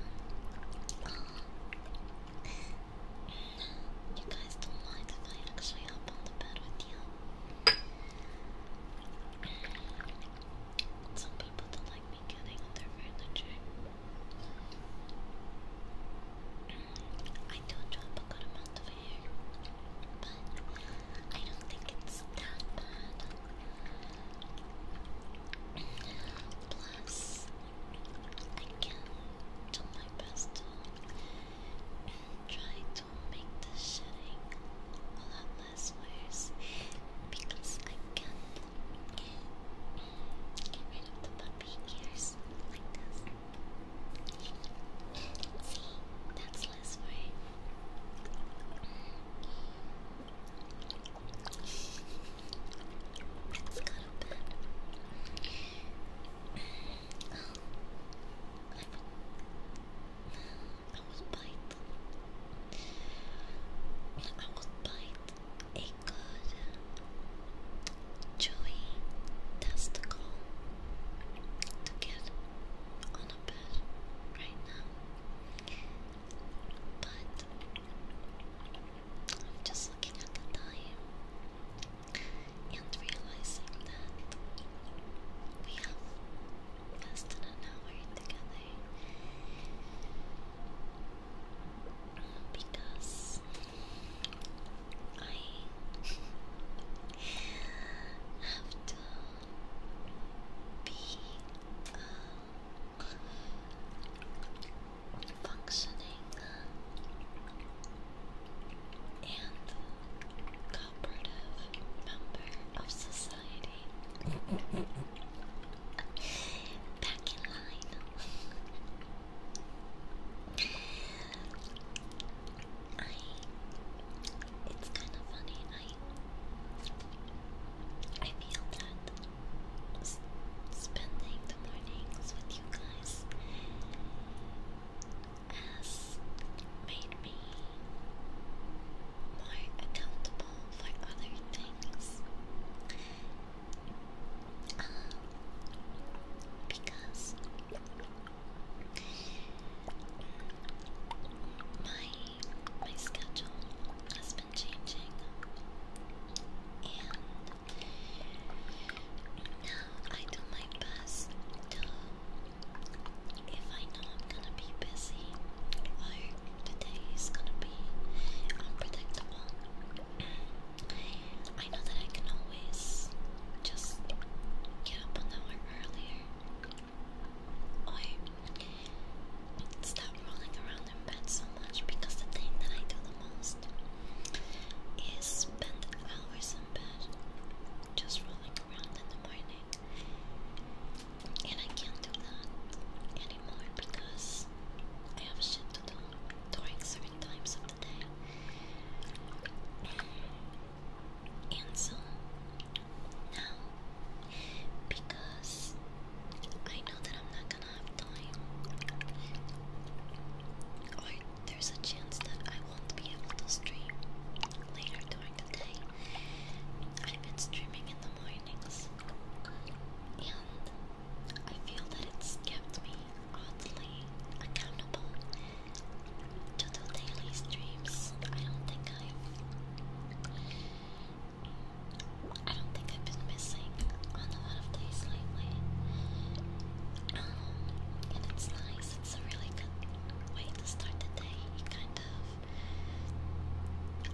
A: guys don't mind if I actually hop on the bed with you? Some people don't like me getting on their furniture. I do drop a good amount of hair, but I don't think it's that bad. Plus, I can do my best to try to make the shedding a lot less worse because I can get rid of the puppy ears See, that's less worse. I was bite. I was bite a good chewy testicle to on a bed right now. But I'm just looking at the time and realizing that we have less than an hour together because I have to be uh, functioning and cooperative member of society. Back in line. I. It's kind of funny. I feel that s spending the mornings with you guys has made me more accountable for other things. Um, because my my schedule has been changing, and now I do my best to, if I know i gonna be busy or the is gonna be unpredictable, I know that I can always just get up an hour earlier or stop rolling around in bed so much because the thing that I do the most is spend hours in bed just rolling around in the morning. And I can't do that anymore because I have shit to do during certain times of the day. And so now because I know that I'm not gonna have time, or there's a chance that I won't be able to stream later during the day. I've been streaming in the mornings, and I feel that it's kept me oddly accountable to do daily streams. I don't think I've I don't think I've been missing on a lot of days lately. Um, and it's nice, it's a really good way to start the day. kind of,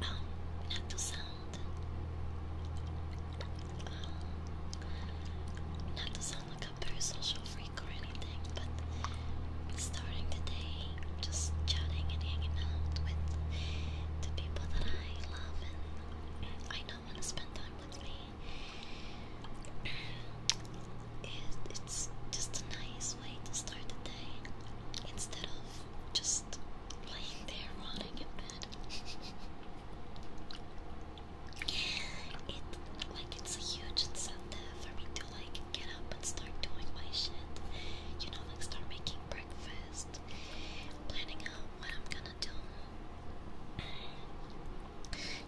A: um, not to sound, um, not to sound like a very social freak or anything, but starting the day just chatting and hanging out with the people that I love and I don't want to spend time with me. it's just a nice way to start the day instead of just laying there rotting in bed. it like it's a huge incentive for me to like get up and start doing my shit. You know, like start making planning out what I'm gonna do.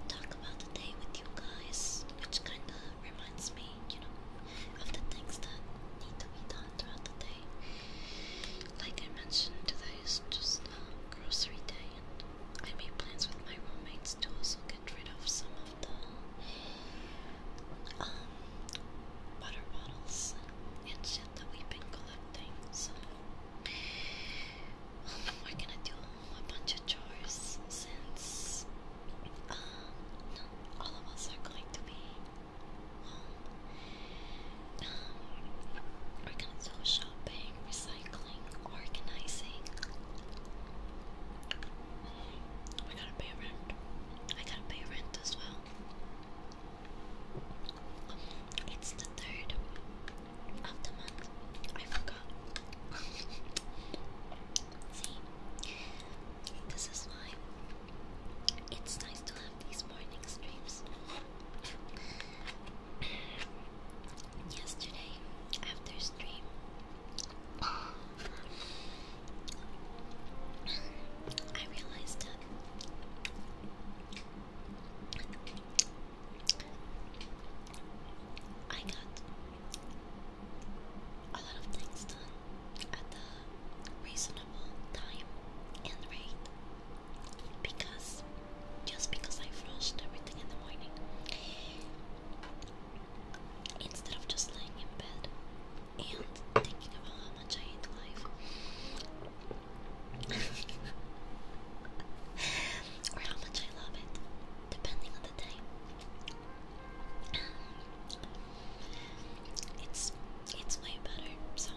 A: Talk about the day with you guys, which kind of reminds me, you know, of the things that need to be done throughout the day. Like I mentioned, today is just a grocery day, and I made plans with my roommates to also get rid of some of the um, water bottles and shit that we've been collecting. So um, we're gonna do a bunch of chores since uh, all of us are going to be home. Um, we're gonna do shopping, recycling, organizing. We gotta pay rent. I gotta pay rent as well. It's the third of the month. I forgot. See, this is why it's nice to have these morning streams. Yesterday, after stream, I realized that I got a lot of things done at a reasonable time and rate because just because I frosted everything in the morning instead of just laying in bed and thinking about how much I hate life. or how much I love it, depending on the day. Um, it's it's way better. So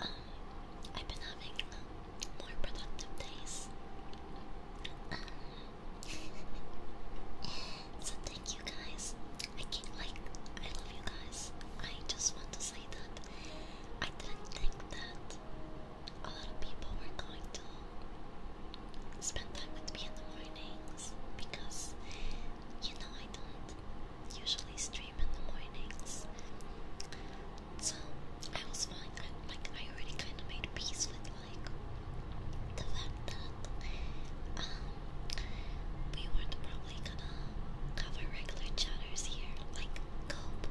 A: um, I've been having uh, more productive days. Um, so you guys. I can't like I love you guys. I just want to say that I didn't think that a lot of people were going to spend time with me in the mornings because you know I don't usually stream in the mornings. So I was fine. I, like I already kind of made peace with like the fact that um, we weren't probably gonna cover regular chatters here, like Cope.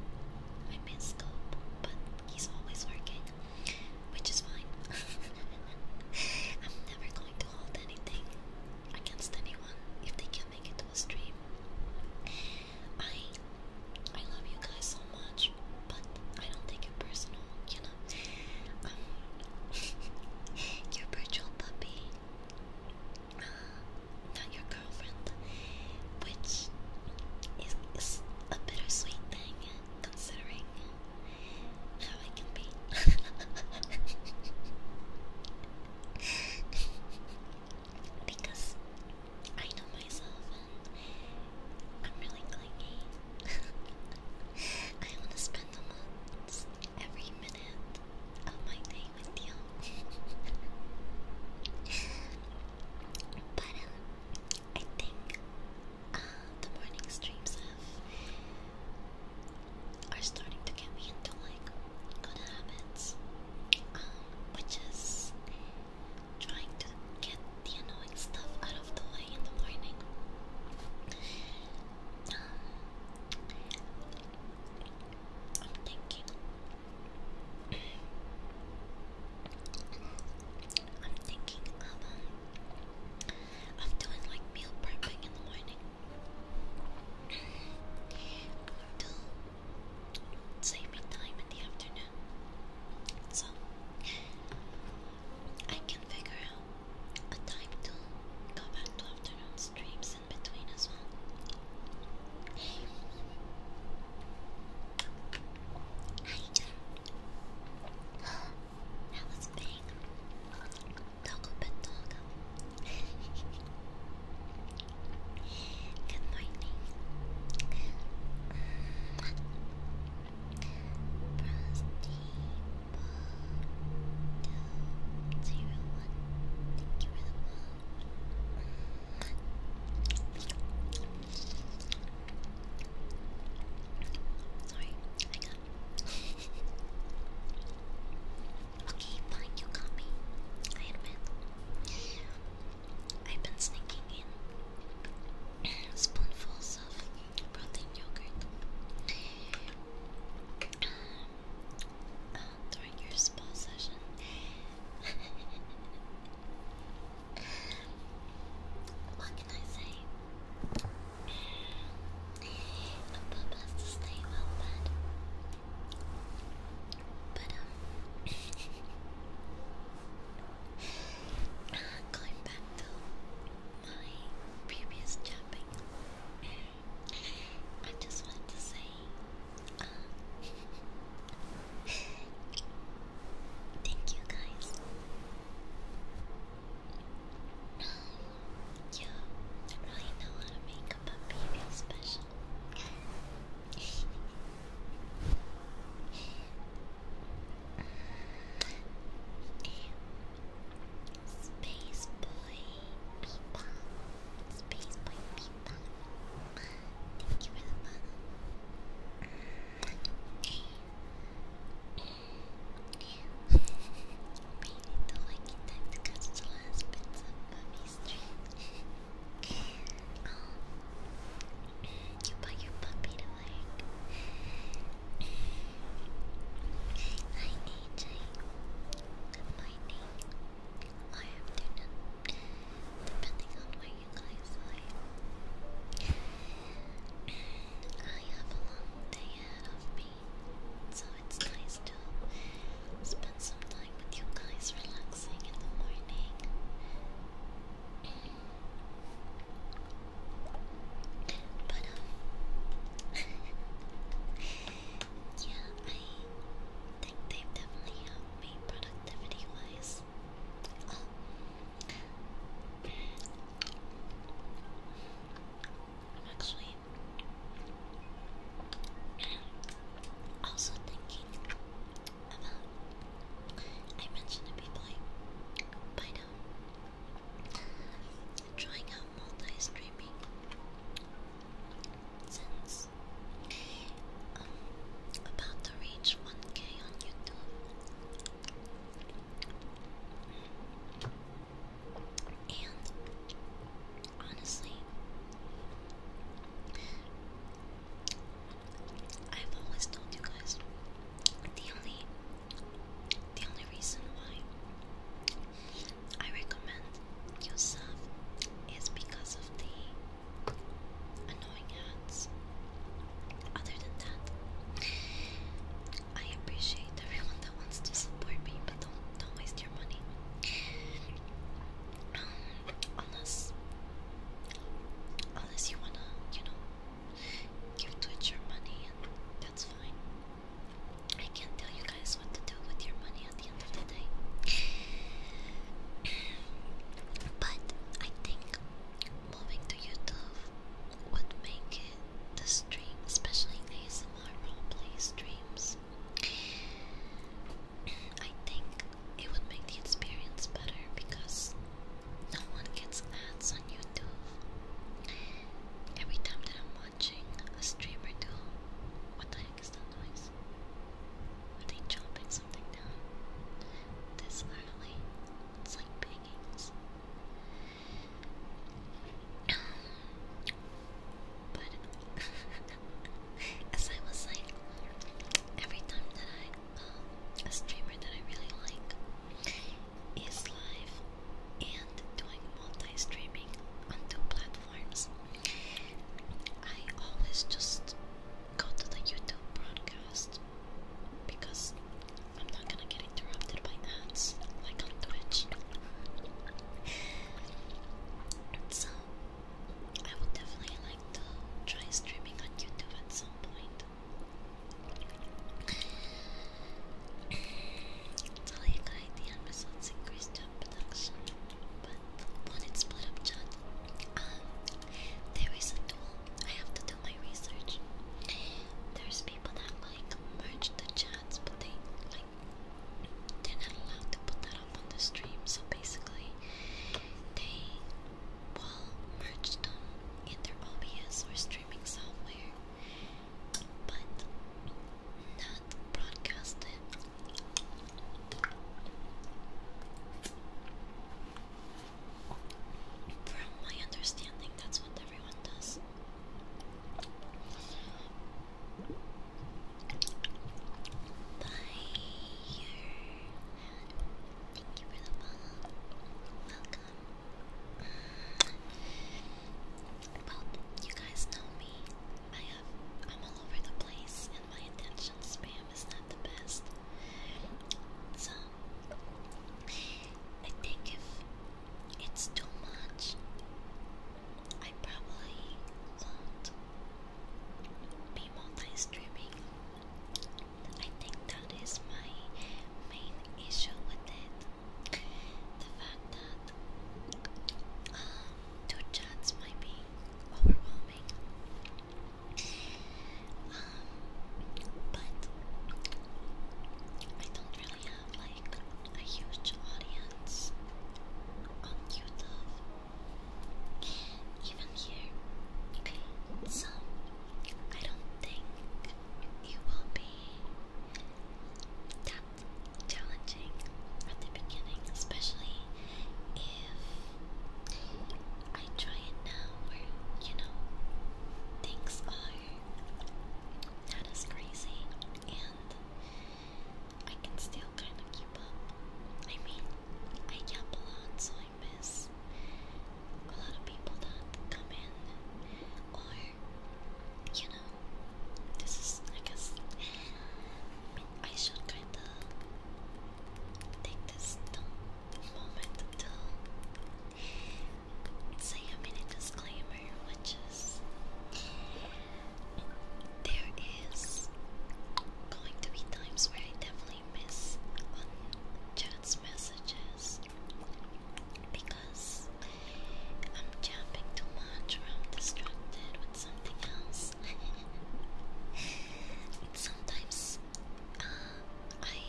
A: I miss Cope, but he's always working, which is fine. I'm never going to hold anything against anyone if they can make it to a stream. I I love you guys so much, but I don't take it personal, you know. Um, your virtual puppy not your girlfriend, which is, a bittersweet thing considering how I can be. because I know myself and I'm really clingy. I want to spend the months every minute of my day with you. but um, I think uh, the morning streams have are starting to get me into like good habits, um, which is trying to get the annoying stuff out of the way in the morning. I'm thinking. I'm thinking of um, of doing like meal prepping in the morning. to save me time in the afternoon. So I can figure out a time to go back to afternoon streams in between as well. Hey. Hi, That was big. Togo but Togo. Good morning. Frosty, Sorry, I got. okay, fine, you got me. I admit. I've been sneaking in spoonfuls of protein yogurt during your spa session. what can I say? A pup has to stay well fed. But, um, going back to my previous chopping. I just want to say, uh, thank you guys. you really know how to make a puppy feel special. Space Boy Peepa. Space Boy Peepa. Thank you for the follow. Made it all like in time to the last bits of Mummy Street. You bought your puppy to work. Hi AJ my name or afternoon, depending on where you guys are. I have a long day ahead of me, so it's nice to spend some time with you guys relaxing in the morning. But um, yeah, I think they've definitely helped me productivity wise. actually also thinking about. I mentioned it before, but um, trying out multi-streaming since i um, about to reach 1k on YouTube. And honestly, I've always told you guys the only the only reason why I recommend you sub is because of the annoying ads. Other than that, I appreciate everyone that wants to support me, but don't don't waste your money. Um, unless unless you wanna, you know, give Twitch your money and that's fine. I can't tell you guys what to do with your money at the end of the day. but I think moving to YouTube would make it the stream, especially ASMR roleplay streams. I think it would make the experience better because no one gets ads on YouTube. Every time that I'm watching a stream or two, what I makes that noise. Are they chopping something down? This early? It's like bangings. but as I was like, every time that I, um, streamer that I really like is live and doing multi-streaming on two platforms, I always just go to the YouTube broadcast because I'm not gonna get interrupted by ads like on Twitch. so I would definitely like to try streaming on YouTube at some point. It's all you got, the episodes increased production, but when split up, John, um, there is a tool. I have to do my research. There's people that like merge the chats, but they like they're not allowed to put that up on the stream. So basically, they will merge them in their OBS or streaming software, but not broadcast it from my understanding, that's what everyone does. Bye. Thank you for the follow. Welcome. Well, you guys know me. I have, I'm all over the place, and my attention spam is not the best. So, I think if it's too much, I probably won't be multi-streaming. I think that is my main issue with it. The fact that um, Two a might be overwhelming. Um, but I don't really have like a huge audience on YouTube, even here. Okay, so I don't think it will be challenging at the beginning, especially if I try it now where, you know, things are not as crazy and I can still kind of keep up. I mean, I yap a lot, so I miss a lot of people that come in, or you know, this is I guess I should kind of take this moment to say a mini disclaimer, which is there is going to be times where I definitely miss on chat's messages because I'm jumping too much I'm distracted with something else. Sometimes uh, I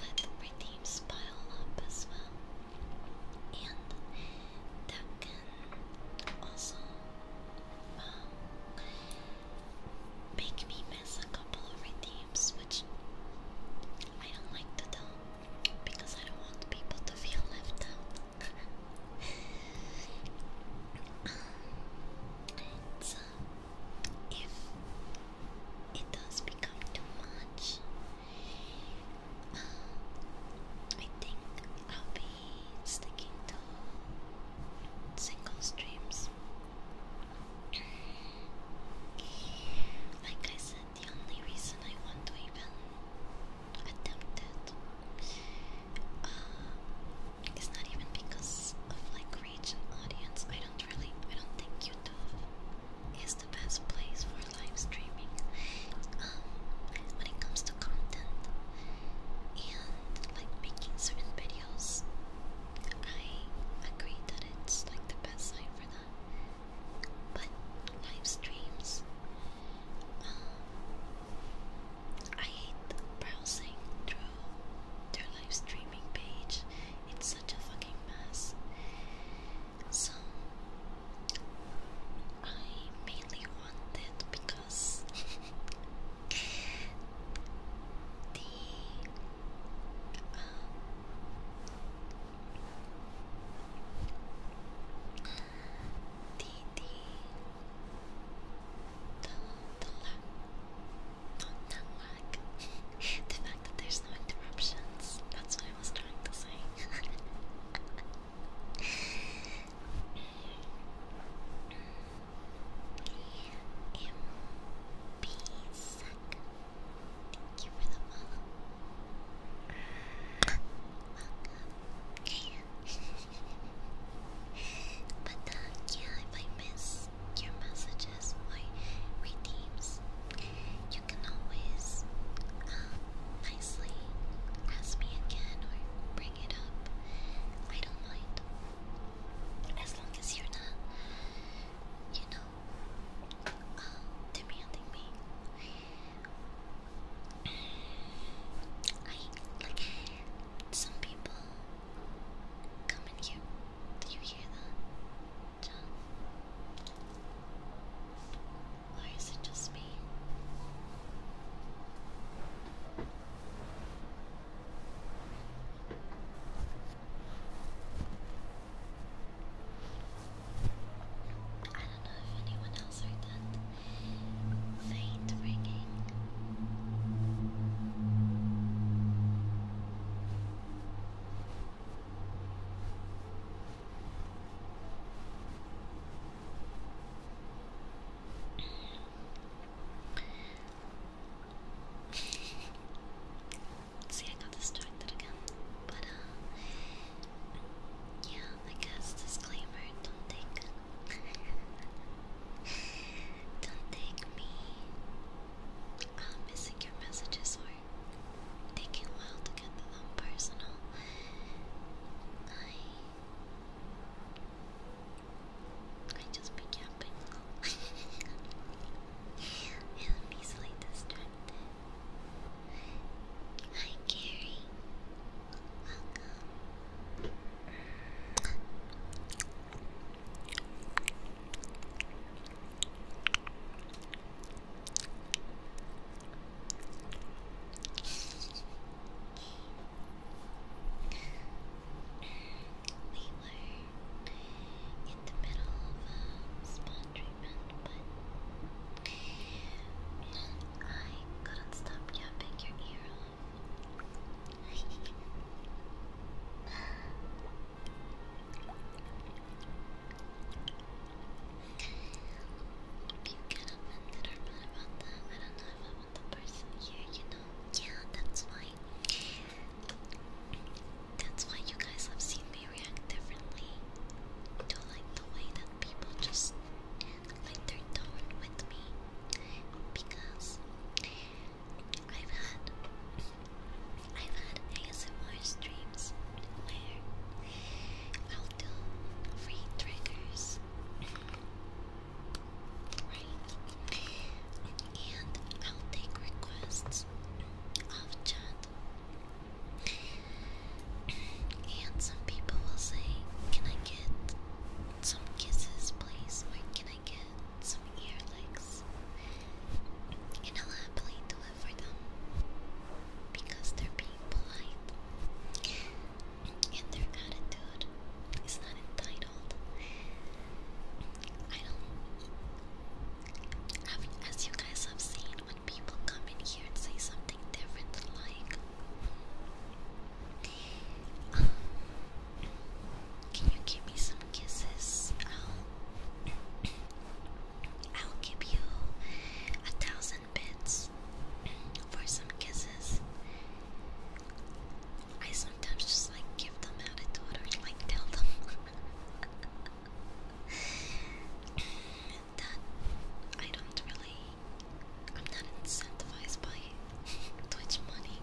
A: let my pile up as well, and that can also um, make me miss a couple of redeems, which I don't like to do because I don't want people to feel left out. Uh, if it does become too much, um, I think I'll be sticking to single streams. like I said, the only reason I want to even attempted. Um, it's not even because of like reach and audience. I don't really, I don't think YouTube is the best place for live streaming um, when it comes to content and like making certain videos. I agree that it's like the best site for that, but live streams um, I hate browsing through their live streaming page. It's such a fucking mess. So I mainly want it because the um, the the the the lag, not that lag. the fact that there's no interruptions. That's what I was trying to say. M.B. Suck. Thank you for the follow. Welcome but uh, yeah, if I miss your messages or redeems, you can always um, nicely ask me again or bring it up. I don't mind. As long as you're not, you know, uh, demanding me. I like some people come here. Do you hear that, Or is it just me? I don't know if anyone else heard that faint ringing. See, I got distracted again. But, uh, yeah, I guess disclaimer don't take don't thank me. I'm missing your messages or taking a while to get to them personal. I I just be camping. and I'm easily distracted. Hi Gary. We were in the middle of a spa treatment, but I couldn't stop yapping your ear you get offended or mad about that. I don't know if I want the person here, you know? Yeah, that's why. That's why you guys have seen me react differently. don't like the way that people just lighter tone with me because I've had I've had ASMR streams where I'll do free triggers. Right. And I'll take requests of chat. And some people will say, Can I get some kisses, please? Where can I get some ear licks? And I'll happily do for them because they're being polite and their attitude is not entitled. I don't. I as you guys have seen, when people come in here and say something different, like can you give me some kisses? I'll, give you a thousand bits for some kisses. I sometimes just like give them attitude or like tell them that I don't really I'm not incentivized by Twitch money.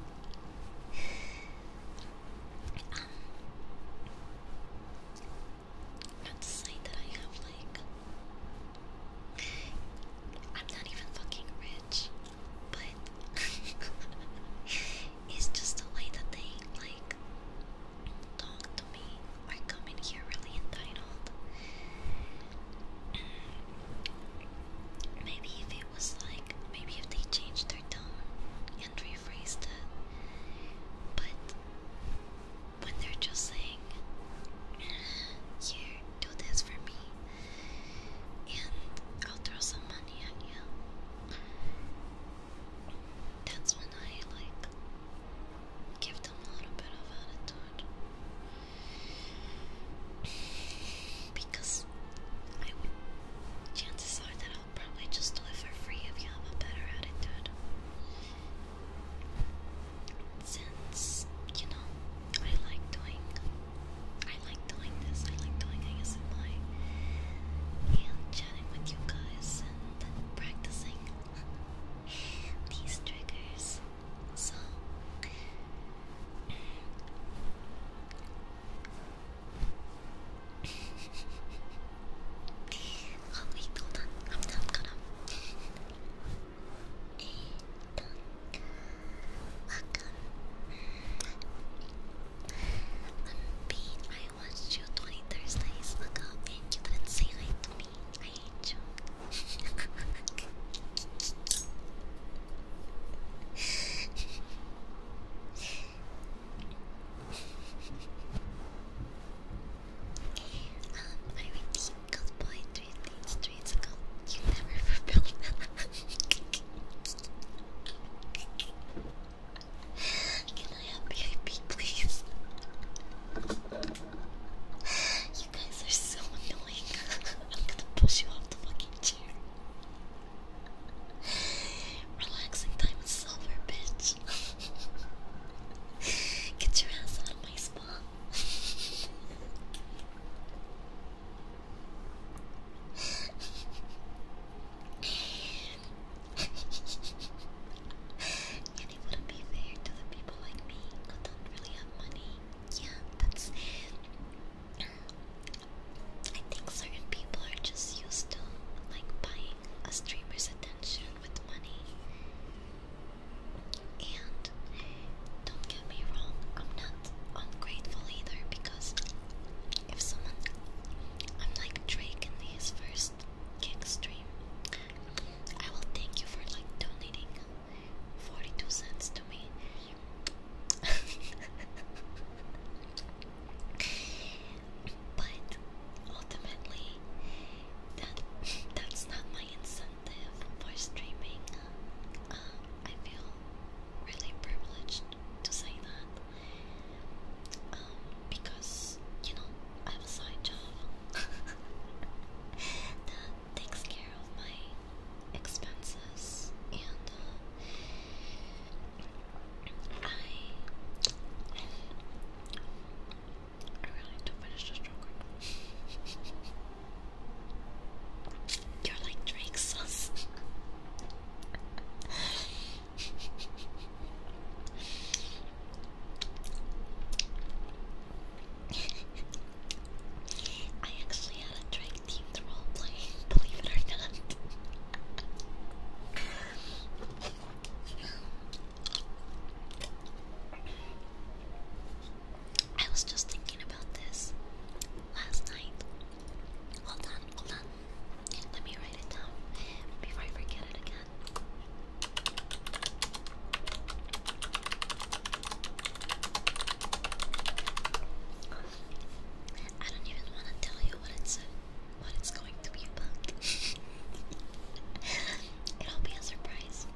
A: um, not to that I have like. I'm not even fucking rich, but it's just the way that they like talk to me. I come in here really entitled. Mm. Maybe if it was like, maybe if they changed their tone and rephrased it, but when they're just saying, eh, Here, do this for me, and I'll throw some money at you, that's when I like give them a little bit of attitude. Because I would. Chances are that I'll probably just do it for free if you have a better attitude. Since, you know, I like doing. I like doing this. I like doing ASMR. And chatting with you guys and practicing these triggers. So oh wait, hold on. I'm not gonna. Welcome. Unbeat, I watched you 20 Thursdays ago and you didn't say hi to me. I hate you um, I repeat, good boy, three things, three to You never fulfilled Can I have VIP, please? You guys are so annoying. I'm gonna push you off the fucking chair. Relaxing time is silver, bitch. Get your ass out of my spa. and it wouldn't be fair to the people like me who don't really have money. Yeah, that's I think certain people are just used to like buying a streamer's attention with money. And don't get me wrong, I'm not ungrateful either because if someone I'm like Drake in his first kick stream, I will thank you for like donating 42 cents to me but ultimately, that that's not my incentive for streaming. Um, I feel really privileged to say that um, because you know I have a side job that takes care of my expenses, and uh, I I really need to finish this real You're like Drake I actually had a drag themed roleplay, believe it or not. I was just thinking about this last night. Hold on, hold on. Let me write it down before I forget it again. I don't even want to tell you what it's what it's going to be about. It'll be a surprise.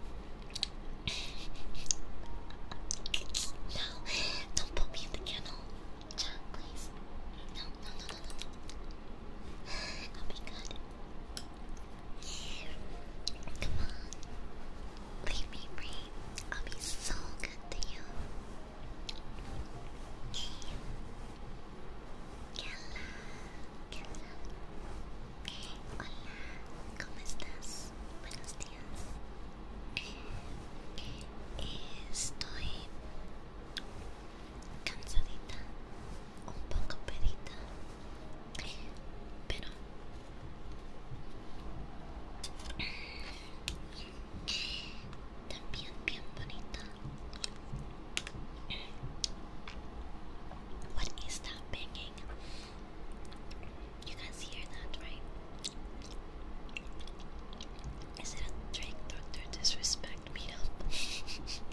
A: no, don't put me in the kennel, John. Please. No, no, no, no, no, no. will be good. Come on. Leave me breathe. I'll be so good que Hola, hola. Hola, ¿cómo estás? Buenos días. Estoy cansadita, un poco pedita, pero También bien bonita. What is that banging? You guys hear that, right? Is it a trick doctor disrespect meetup?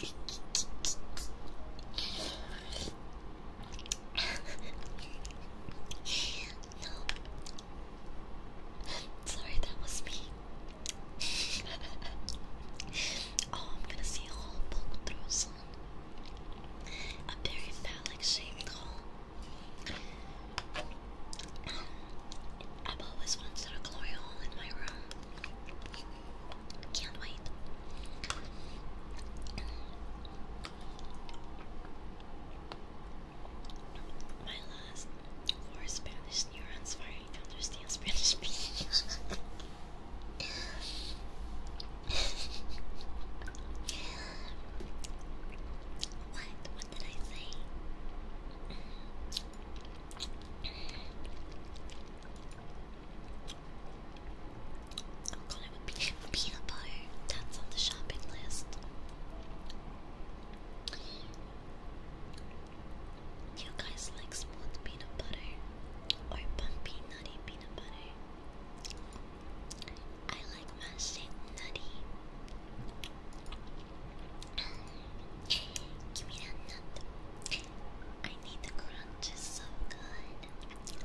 A: no, Sorry, that was me. oh, I'm gonna see a hole poke through A very phallic shaped um, I've always wanted a glory hole in my room. Can't wait. My last four Spanish neurons firing to understand Spanish speech. what? What did I say? I'm oh, gonna be a peanut That's on the shopping list you guys like smooth peanut butter or bumpy nutty peanut butter? I like mashed nutty. Give me that nut. I need the crunch, it's so good.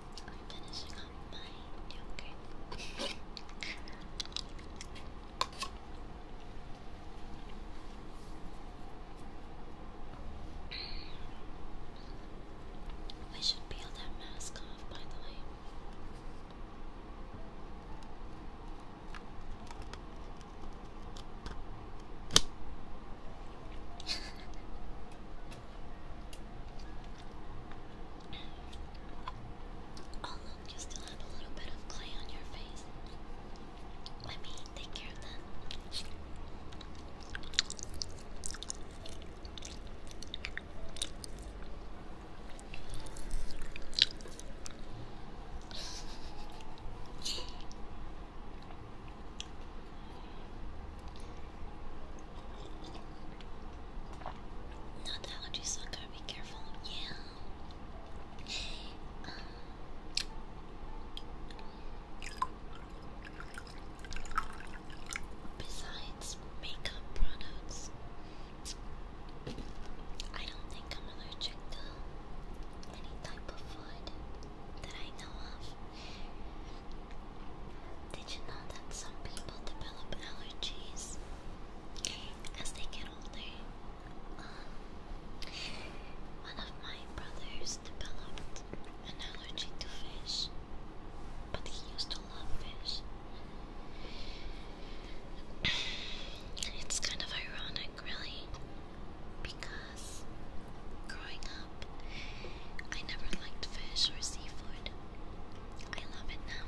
A: I'm finishing up my yogurt. I should peel that mask off, by the way. Oh look, you still have a little bit of clay on your face. Let me take care of that. Not the allergy sucker, be careful. Yeah. Um, besides makeup products, I don't think I'm allergic to any type of food that I know of. Did you know that some people develop allergies as they get older? Um, one of my brothers developed an allergy to fish, but he used to love fish. It's kind of ironic, really, because growing up, I never liked fish or seafood. I love it now.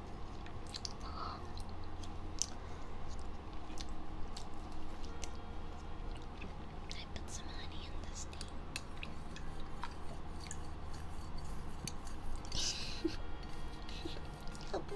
A: I put some honey in this thing. Help.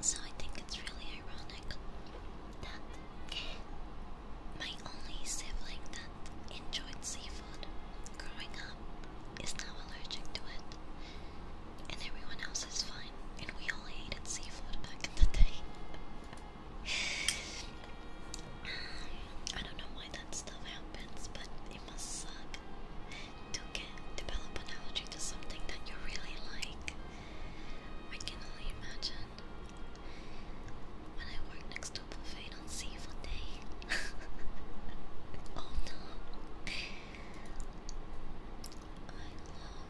A: So I think it's really ironic that my only sibling that enjoyed seafood growing up is now allergic to it. And everyone else is fine. And we all hated seafood back in the day. Um, I don't know that stuff happens, but it must suck to get develop an allergy to something that you really like. I can only imagine. When I worked next to a buffet on seafood day. oh no. I love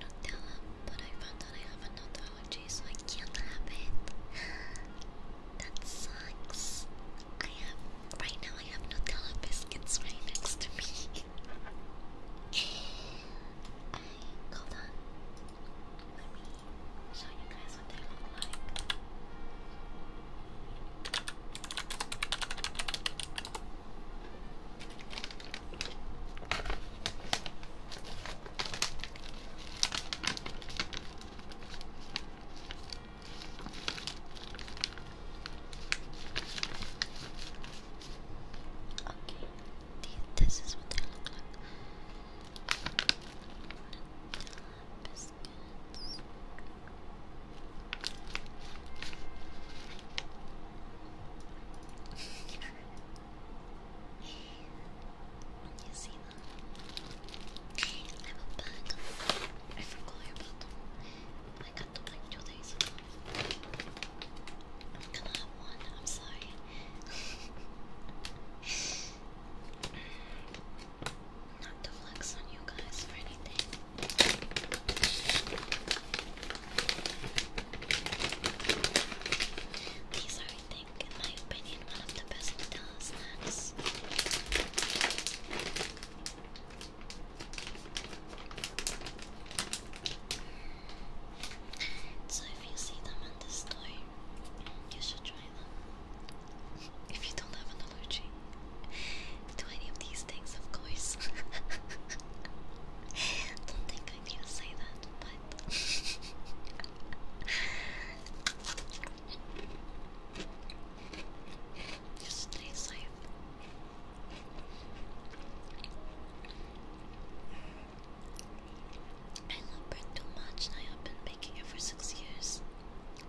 A: Nutella, but I found that I have a allergy so I can't have it. That sucks. I have right now. I have Nutella biscuits right next to me. hold on. Let me show you guys what they look like. Okay, this is what they look like. you see I'm a bug. I forgot about them. I got them like two days I'm gonna have one, I'm sorry. Not to flex on you guys or anything. These are in my opinion, one of the best Nutella snacks. So if you see them in the store, you should try them. If you don't have an allergy to any of these things, of course. don't think I need to say that, but Just stay safe. I love bread much, and I have been making it for six years.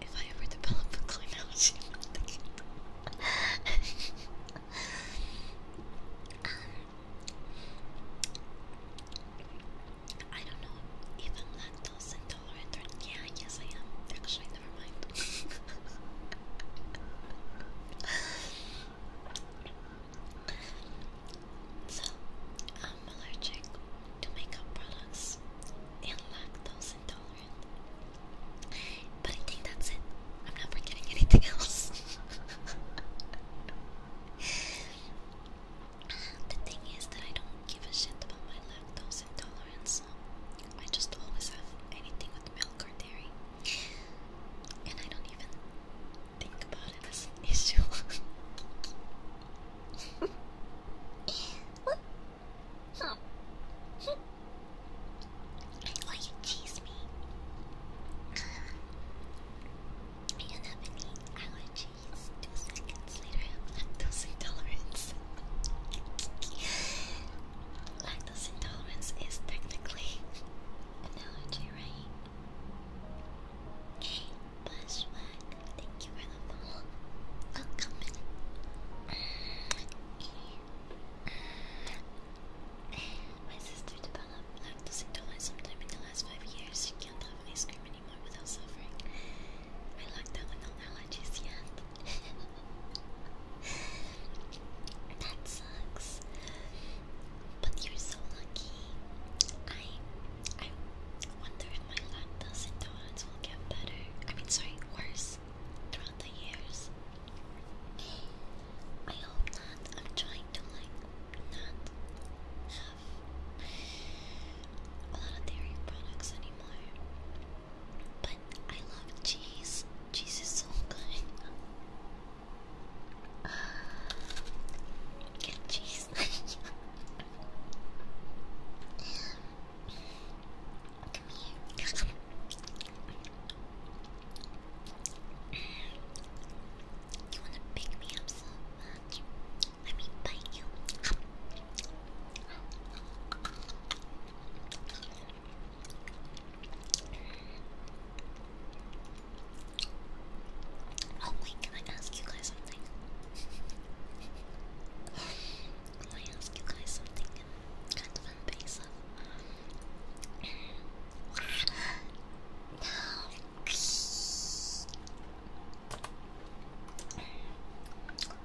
A: If I ever develop a clean allergy, um, I don't know if I'm lactose intolerant yeah, yes I am. Actually, never mind. so, I'm allergic to makeup products and lactose intolerant. But I think that's it. I'm not forgetting anything else. The thing is that I don't give a shit about my lactose intolerance. I just always have anything with milk or dairy. And I don't even think about it as an issue. Why you tease me? You have any allergies? Two seconds later, I have lactose intolerance. lactose intolerance is technically an allergy, right? Hey, Bushwhack, thank you for the follow. Welcome. My sister developed lactose intolerance sometime in the last five years. She can't have ice cream anymore without suffering. I like that one, i allergies not yet. that sucks. But you're so lucky. I I wonder if my lactose intolerance will get better. I mean sorry, worse throughout the years. I hope not. I'm trying to like not a lot of dairy products anymore. But I love cheese. Cheese is so good. Get cheese. Come here. You wanna pick me up some? Let me bite you. Oh wait, can I ask you guys something? can I ask you guys something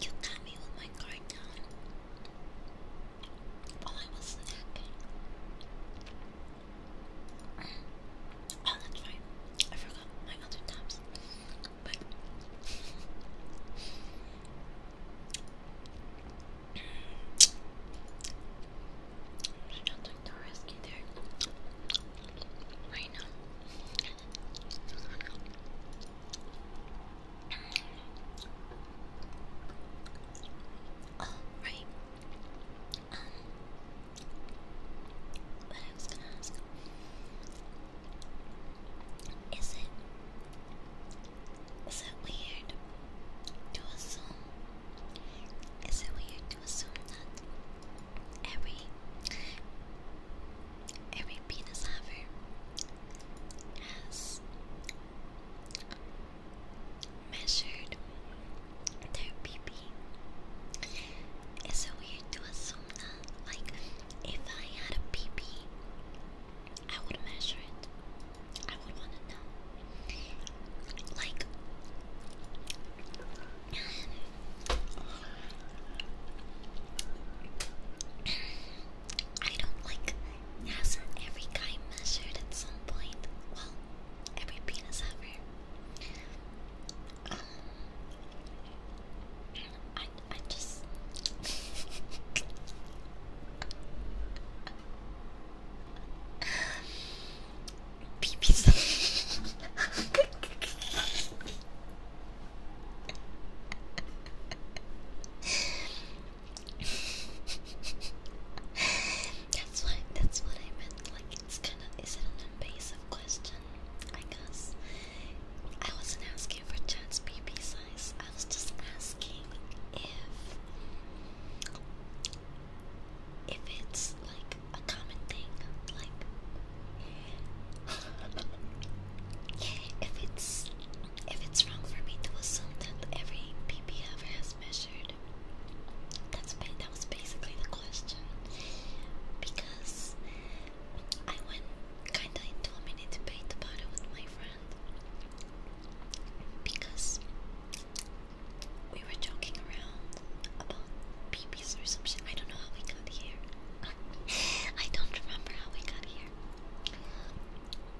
A: You got me with my guard down while I was snacking. Oh, that's right. I forgot my other tops. But I don't think the risk Right now, right. Um, but I was gonna ask, is it is it weird to assume? Is it weird to assume that every every penis haver has measured their pee-pee. It's so weird to assume that, like, if I had a pee-pee, I would measure it. I would want to know. Like, I don't like. has every guy measured at some point? Well, every penis ever. Um, I I just. Peepees. that's what that's what I meant. Like it's kinda is it an invasive question? I guess. I wasn't asking for Chad's BB size. I was just asking if if it's like a common thing. Like if it's if it's wrong for me to assume that every PP ever has measured, that's that was basically the question because I went kind of into a mini debate about it with my friend because we were joking around about PP or some shit. I don't know how we got here. I don't remember how we got here.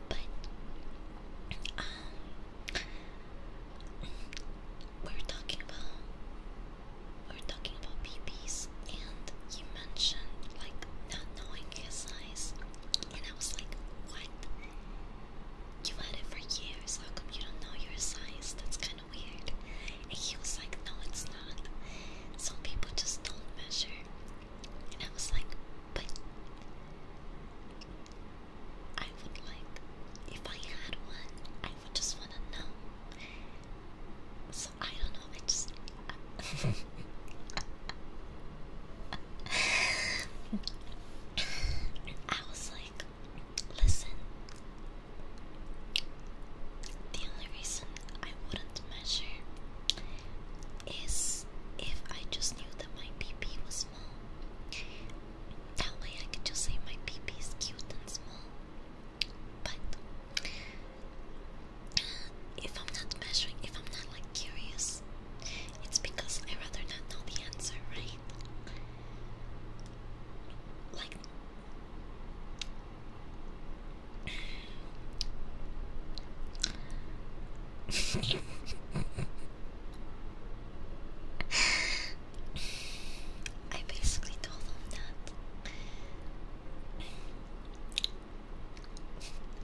A: But um we're talking about we're talking about BBs and you mentioned like not knowing his size and I was like what? You've had it for years, how come you don't know your size? That's kind of weird. And he was like, No, it's not. Some people just don't measure. And I was like, But I would like, if I had one, I would just want to know. So I don't know, I just. I was like, listen, the only reason I wouldn't measure is if I just knew that my PP was small. That way I could just say my PP is cute and small. But uh, if I'm not measuring, if I'm not like curious, it's because I rather not know the answer, right? Like I basically told him that.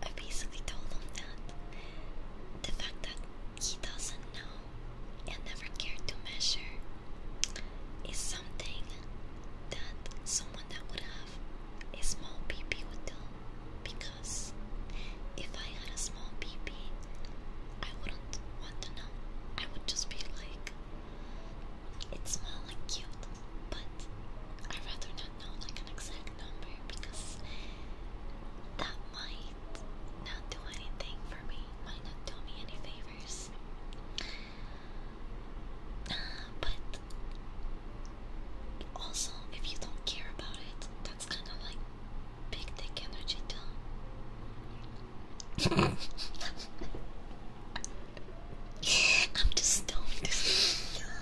A: I basically told him that the fact that he doesn't know and never cared to measure is something that someone that would have a small PP would do. Because if I had a small PP, I wouldn't want to know. I would just be like, it's small and cute, but I'd rather not know like an exact number because that might not do anything for me, might not do me any favors. But also, if you don't care about it, that's kind of like big dick energy too. I'm just stoned and don't.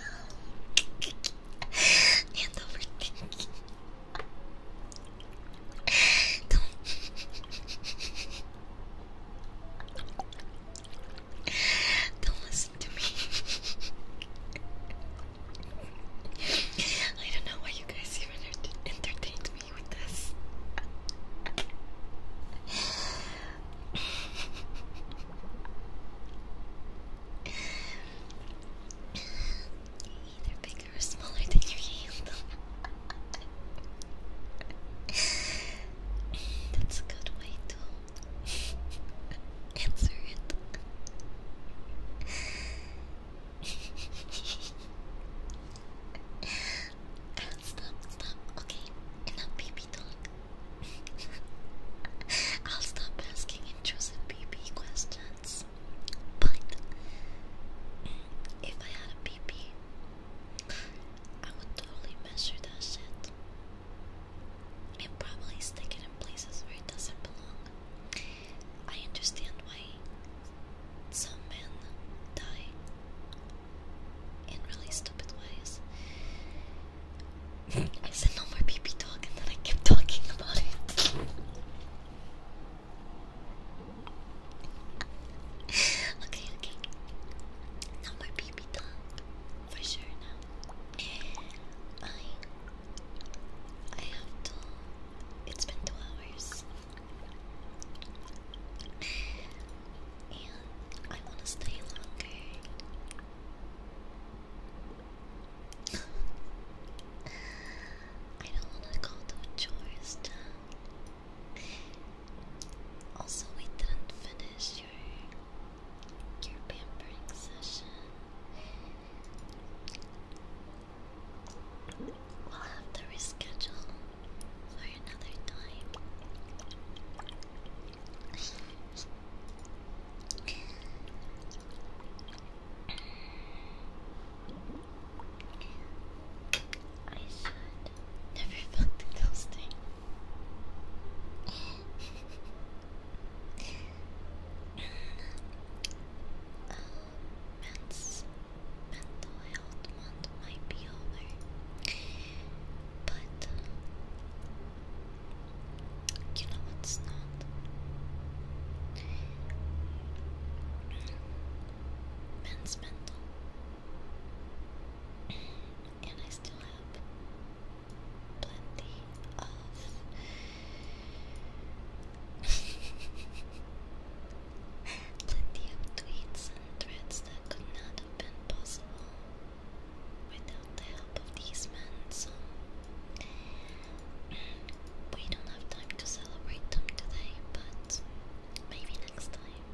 A: Don't listen to me. I don't know why you guys even entertained me with this. Either bigger or smaller than your hand. That's a good way to answer it. stop, stop. Okay, enough BB talk. I'll stop asking intrusive BB questions. But if I had a BB, I would totally measure that shit and probably stick it in places where it doesn't belong. I understand why some men die in really stupid ways. I said no more PP talk and then I kept talking about it. okay, okay. No more for sure now. I I have to. It's been two hours, and I wanna stay longer. I don't wanna go do chores. Now. Also, we didn't finish your your pampering session. We'll have to reschedule for another time. I should never fuck the ghosting mental health month might be over, but you know what's not. Men's mental and I still have plenty of plenty of tweets and threads that could not have been possible without the help of these men, so we don't have time to celebrate them today, but maybe next time.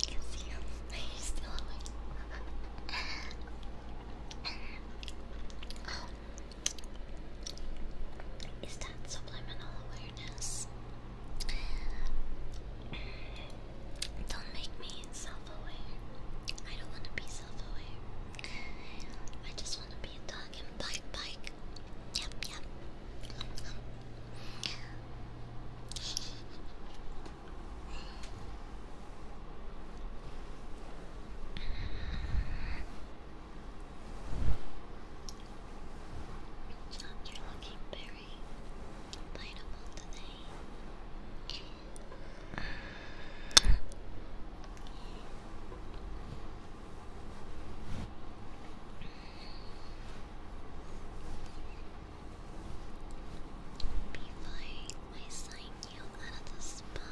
A: can see him. He's still awake. Is that subliminal awareness? Don't make me self-aware. I don't want to be self-aware. I just want to be a dog and bite, bite. Yep, yep. you biteable today. Before I sign you out the spa,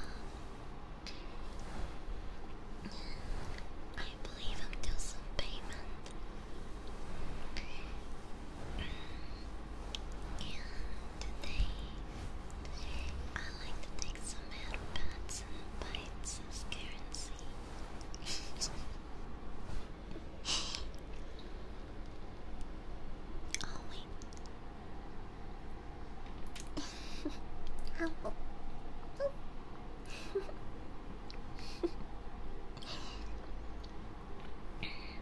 A: I believe I'm due some payment. And today, I like to take some headpats and bites as currency. oh wait. Apple.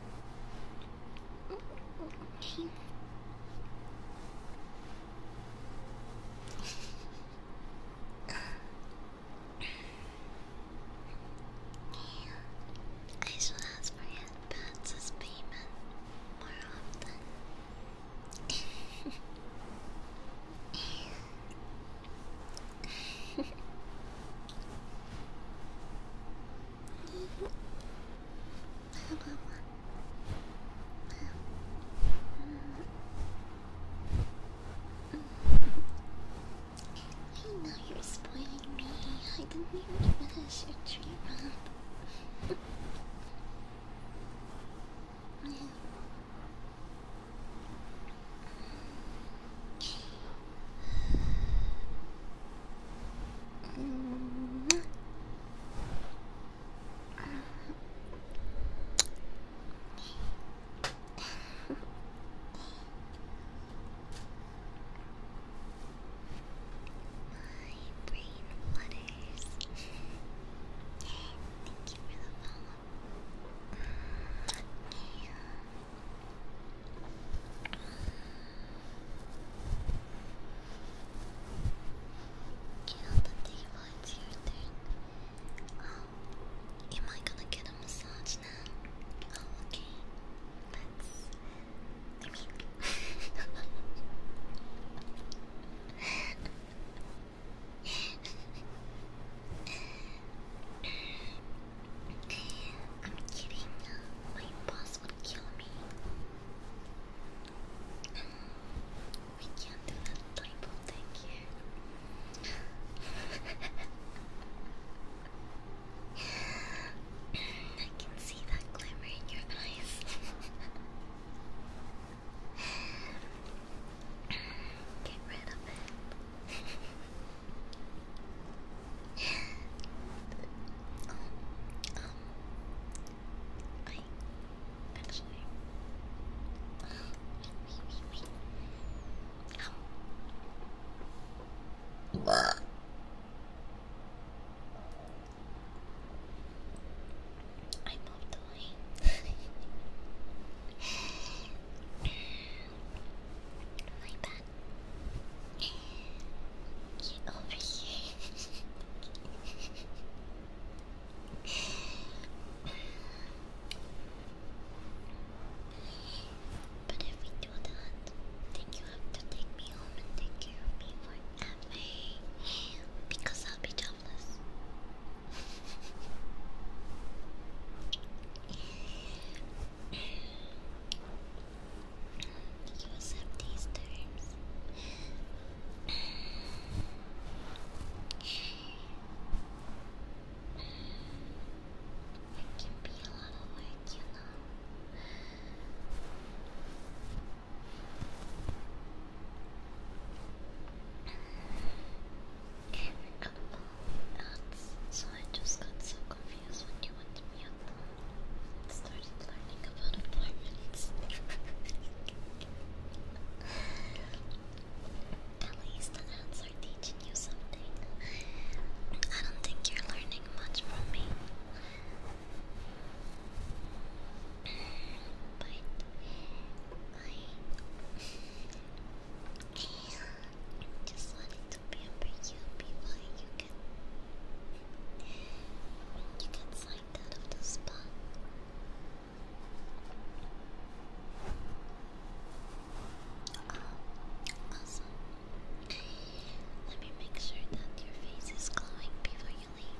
A: Okay. I should ask for headbands as payment more often. I know you're spoiling me. I didn't even finish your tree up brain flutters. Thank you for the follow. Get oh, am I gonna get a massage now? Oh, okay. let I mean. I'm kidding. My boss would kill me. We can't do that type of thing I can see that glimmer in your eyes. Get rid of it um, I actually, uh, wait, wait, bad. Get over here. but if we do that, then you have to take me home and take care of me forever. Because I'll be jobless use up these terms. It can be a lot of you know. oh, that's, so I just got so confused when you wanted me started learning about apartments. At least the ads are teaching you something. I don't think you're learning much from me. But I just wanted to pamper you, be by you. You can slide out of the spot. awesome. Let me make sure that your face is glowing before you leave.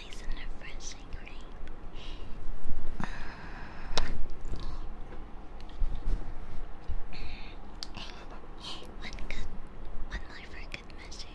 A: nice and refreshing, right? Uh, one good, one more for a good measure.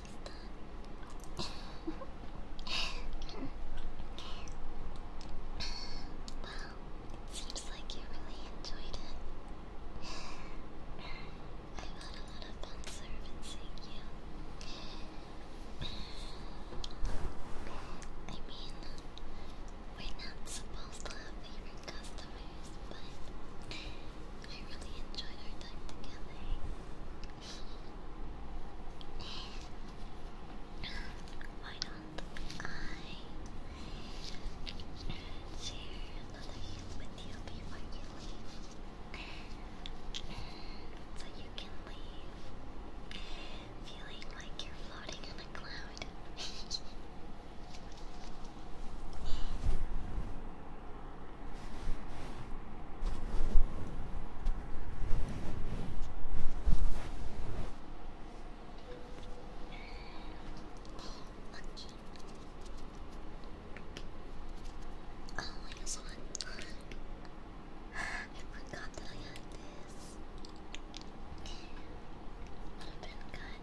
A: it seems like you really enjoyed it. i had a lot of fun servicing you. I mean, we're not supposed to have favorite customers but I really enjoyed our time together. Why not I share another youth with you before you leave? So you can leave feeling like you're floating in a cloud. Oh, I forgot that I had this. Okay. Would been good.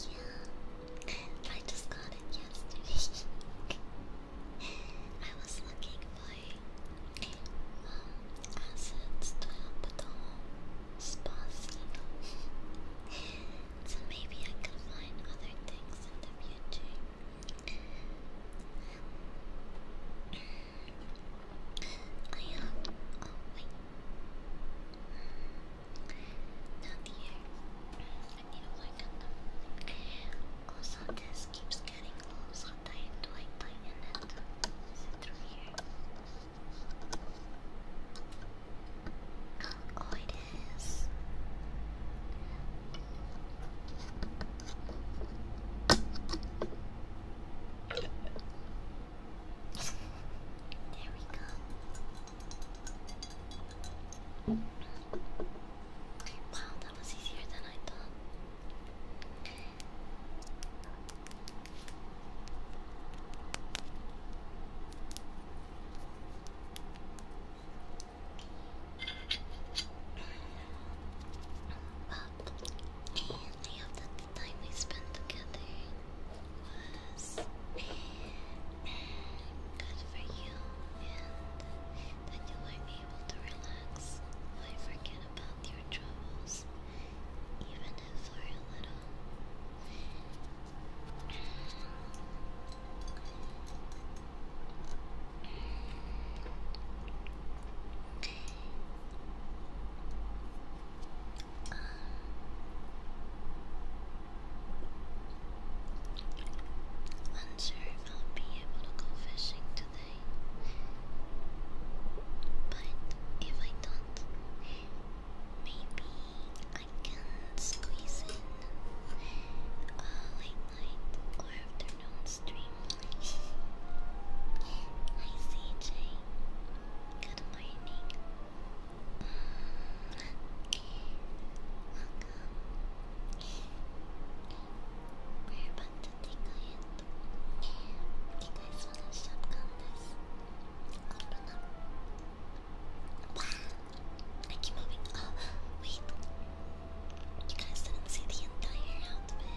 A: Yeah, I just got it yesterday. I was looking for um, assets to help with the whole so maybe I could find other things in the future. I am. Oh, wait. Not here. I need to work on them. Also, this keeps getting low, so tight, do I tighten it? Is it through here? Oh, it is. There we go. Wow, that was easier than I thought. And I hope that the time we spent together was good for you and that you might be able to relax and forget about your troubles, even for a little. Um, unsure if I'll be able to go fishing today, but if I don't, maybe I can squeeze in a uh, late night or afternoon stream. Hi CJ. Good morning. Welcome. We're about to tickle it. Do you guys want to shop contest? Open up. Wow. I You guys didn't see the entire outfit.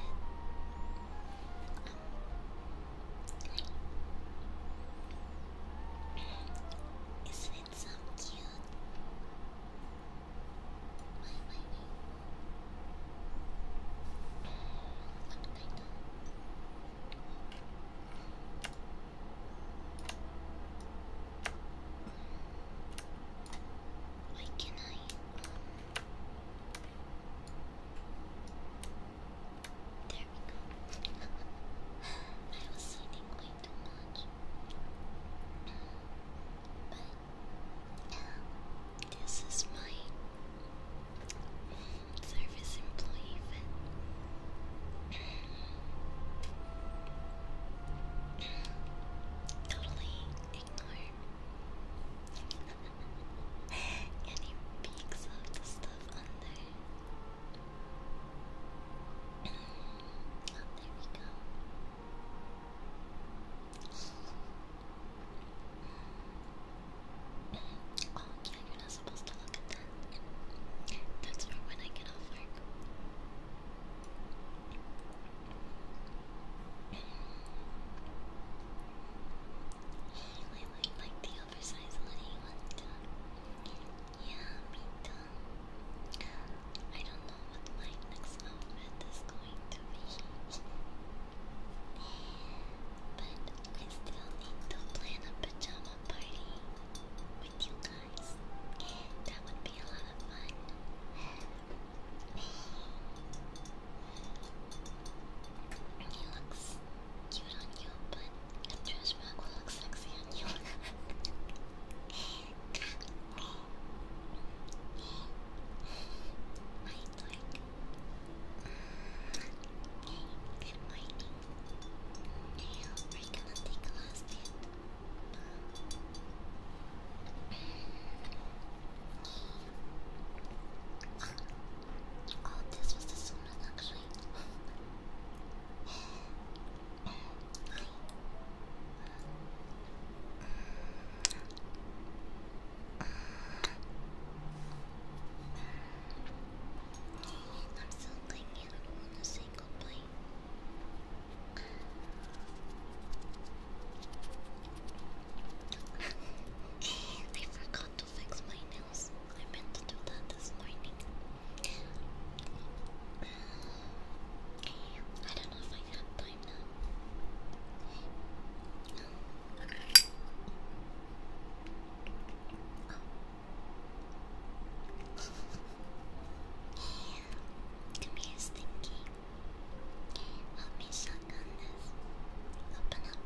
A: Isn't it so cute? My, my, my. Why can I? Um, There we go. I was eating way too much. But this is my service employee totally ignore and he picks up the stuff under. Oh, there we go. oh, yeah, you're not supposed to look at that. That's for when I get off work. I would like the oversized hoodie Yeah, me too. I don't know what my next outfit is going to be. but I still need to plan a pajama party with you guys. That would be a lot of fun. He looks cute on you, but a trash bag will look sexy on you. My twig. Okay, good morning. Now we're gonna take a last bit. Oh, this was the summer, actually. I, am still thinking I want to say goodbye. I forgot forgot to fix my nails. I meant to do that this morning. I don't know if I have time now. Oh. Come here, Stinky. Help me suck on this. Open up.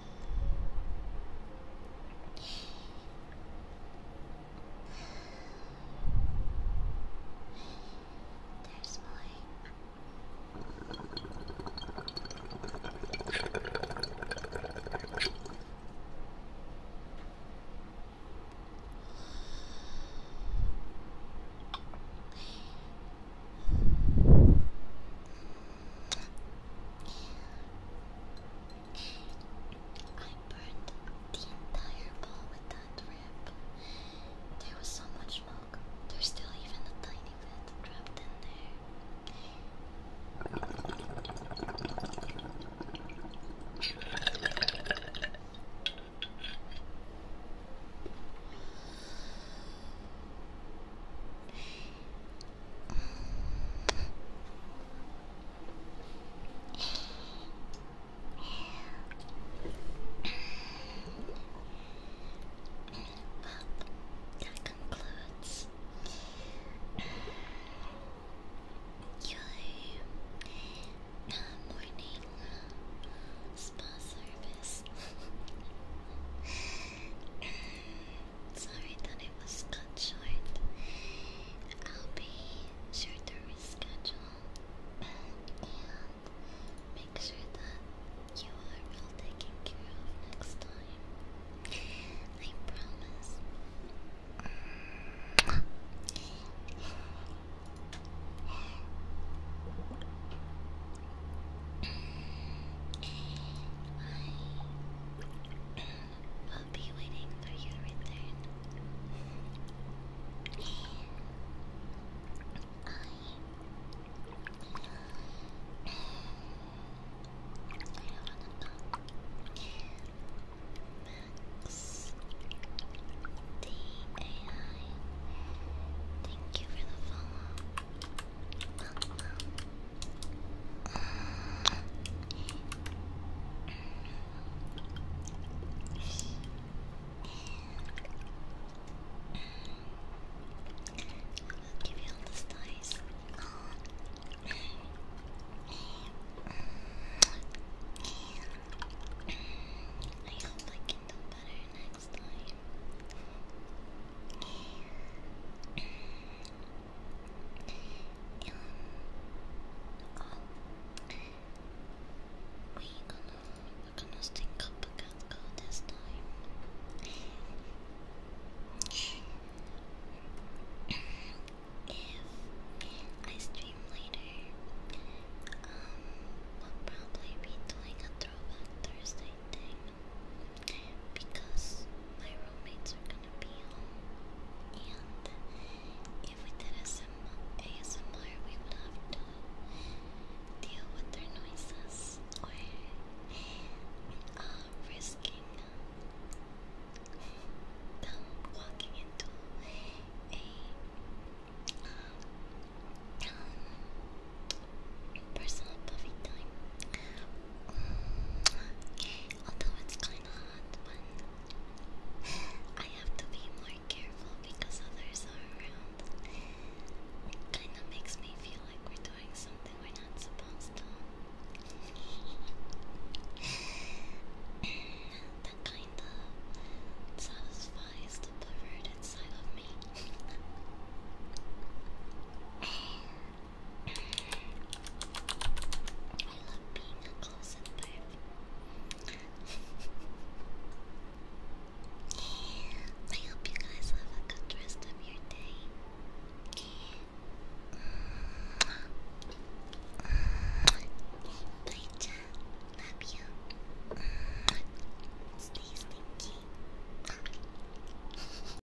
A: There's mine. I burned the entire ball with that rip. There was so much smoke. There's still even a tiny bit trapped in there that concludes your uh, morning uh, spa service. Sorry that it was cut short. I'll be sure to reschedule and make sure that you are all taken care of next time. I promise. I will be waiting for your return. I Max D A I Thank you for the follow. Well, i give you all this dice. I hope I can do better next time. Um, oh. We're gonna, we gonna stink up a cat girl this time. if I stream later, um, we'll probably be doing a throwback Thursday thing because my roommates are gonna be home, and if we did ASMR, ASMR we would have to deal with their noises or uh, risking them walking into a um, personal coffee time Although it's kind of hot I have to be more careful because others are around. kind of makes me feel like we're doing something we're not supposed to. that kind of satisfies the perverted side of me. I love being a close-up Barb. I hope you guys have a good rest of your day. Bye, chat. Love you. Stay stinky.